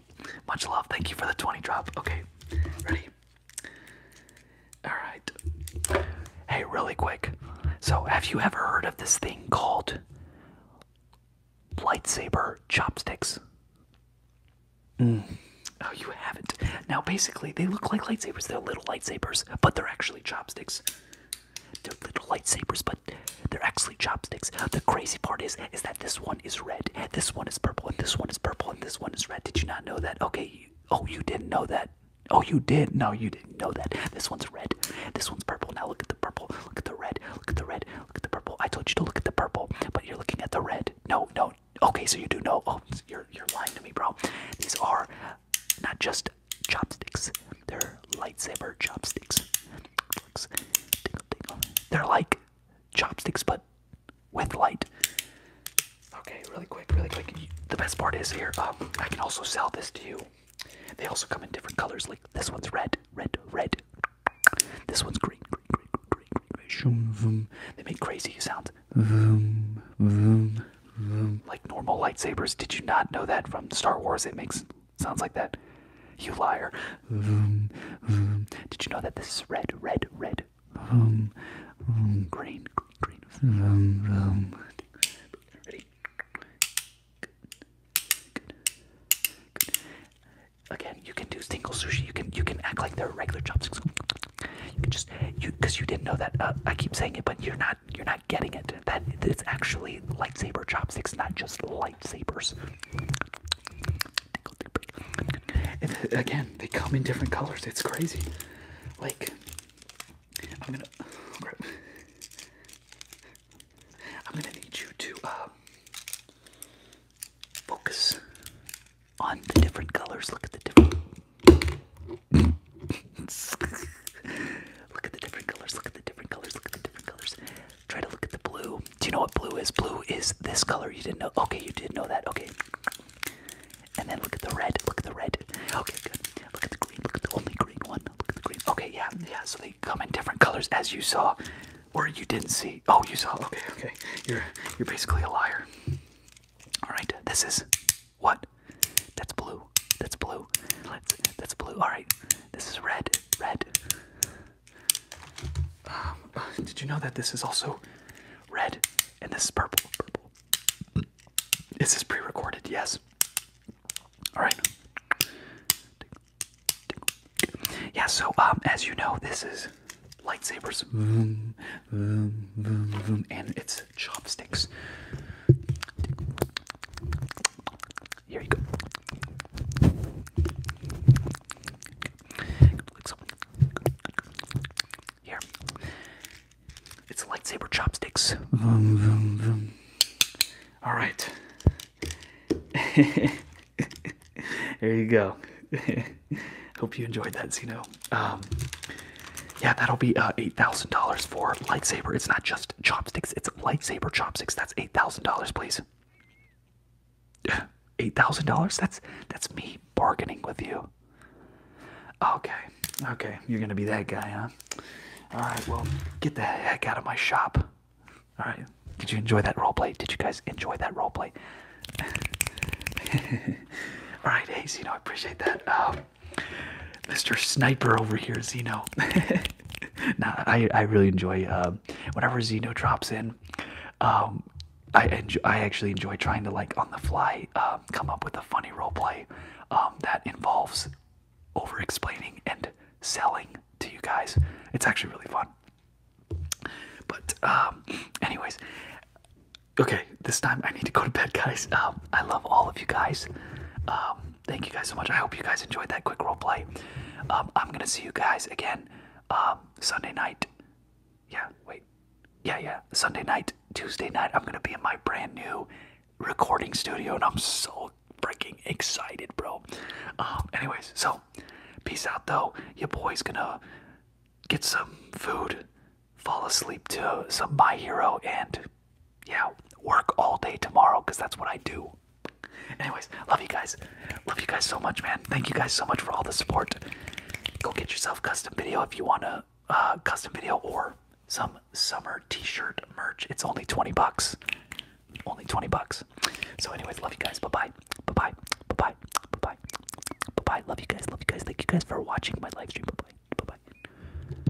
Speaker 1: Much love. Thank you for the 20 drop. Okay, ready? Alright. Hey, really quick. So, have you ever heard of this thing called lightsaber chopsticks? Mm. Oh, you haven't. Now, basically, they look like lightsabers. They're little lightsabers, but they're actually chopsticks. They're little lightsabers, but they're actually chopsticks. The crazy part is, is that this one is red, this one is purple, and this one is purple, and this one is red. Did you not know that? Okay, oh, you didn't know that. Oh, you did. No, you didn't know that. This one's red. This one's purple. Now look at the purple. Look at the red. Look at the red. Look at the purple. I told you to look at the purple, but you're looking at the red. No, no. Okay, so you do know. Oh, you're you're lying to me, bro. These are not just chopsticks. They're lightsaber chopsticks. They're like chopsticks, but with light. Okay, really quick, really quick. The best part is here. Um, I can also sell this to you. They also come in different colors. Like this one's red, red, red. This one's green, green, green, green, green, green. They make crazy sounds. Like normal lightsabers. Did you not know that from Star Wars? It makes Sounds like that. You liar. Vroom, vroom. Did you know that this is red, red, red? Vroom, vroom. Green, green, green. Vroom, vroom. Ready? Good. Good. Again, you can do single sushi. You can you can act like they're regular chopsticks. You can just you because you didn't know that. Uh, I keep saying it, but you're not you're not getting it. That it's actually lightsaber chopsticks, not just lightsabers. And uh, again, they come in different colors. It's crazy. Like I'm gonna I'm gonna need you to uh, focus on the different colors. Look at the different look at the different colors. Look at the different colors. Look at the different colors. Try to look at the blue. Do you know what blue is? Blue is this color. You didn't know. Okay, you did know that. Okay. And then look at the red. Look at the red. Okay, good. Look at the green. Look at the only green one. Look at the green. Okay, yeah, yeah. So they come in different colors, as you saw, or you didn't see. Oh, you saw. Okay, okay. You're you're basically a liar. All right. This is what that's blue. That's blue. let that's blue. Alright. This is red. Red. Um, did you know that this is also red? And this is purple. Purple. This is pre recorded, yes. Alright. Yeah, so um, as you know, this is lightsabers. Vroom, vroom, vroom, vroom, and it's chopsticks. Here you go. Here. It's lightsaber chopsticks. All right. there you go. Hope you enjoyed that, Zeno. Um, yeah, that'll be uh, $8,000 for lightsaber. It's not just chopsticks. It's lightsaber chopsticks. That's eight thousand dollars, please. Eight thousand dollars? That's that's me bargaining with you. Okay, okay, you're gonna be that guy, huh? All right, well, get the heck out of my shop. All right, did you enjoy that roleplay? Did you guys enjoy that roleplay? All right, hey, Zeno, I appreciate that. Um, uh, Mr. Sniper over here, Zeno. nah, I I really enjoy um, whenever Xeno drops in. Um, I enjoy, I actually enjoy trying to like on the fly um, come up with a funny role play um, that involves over explaining and selling to you guys. It's actually really fun. But anyways, okay, this time I need to go to bed, guys. I love all of you guys thank you guys so much. I hope you guys enjoyed that quick role play. Um, I'm gonna see you guys again um, Sunday night. Yeah, wait. Yeah, yeah. Sunday night, Tuesday night. I'm gonna be in my brand new recording studio, and I'm so freaking excited, bro. Um, anyways, so peace out though. Your boy's gonna get some food, fall asleep to some My Hero, and yeah, work all day tomorrow because that's what I do. Anyways, love you guys. Love you guys so much, man. Thank you guys so much for all the support. Go get yourself custom video if you want a uh, custom video or some summer t-shirt merch. It's only 20 bucks. Only 20 bucks. So anyways, love you guys. Bye-bye. Bye-bye. Bye-bye. Bye-bye. Bye-bye. Love you guys. Love you guys. Thank you guys for watching my live stream. Bye-bye. Bye-bye.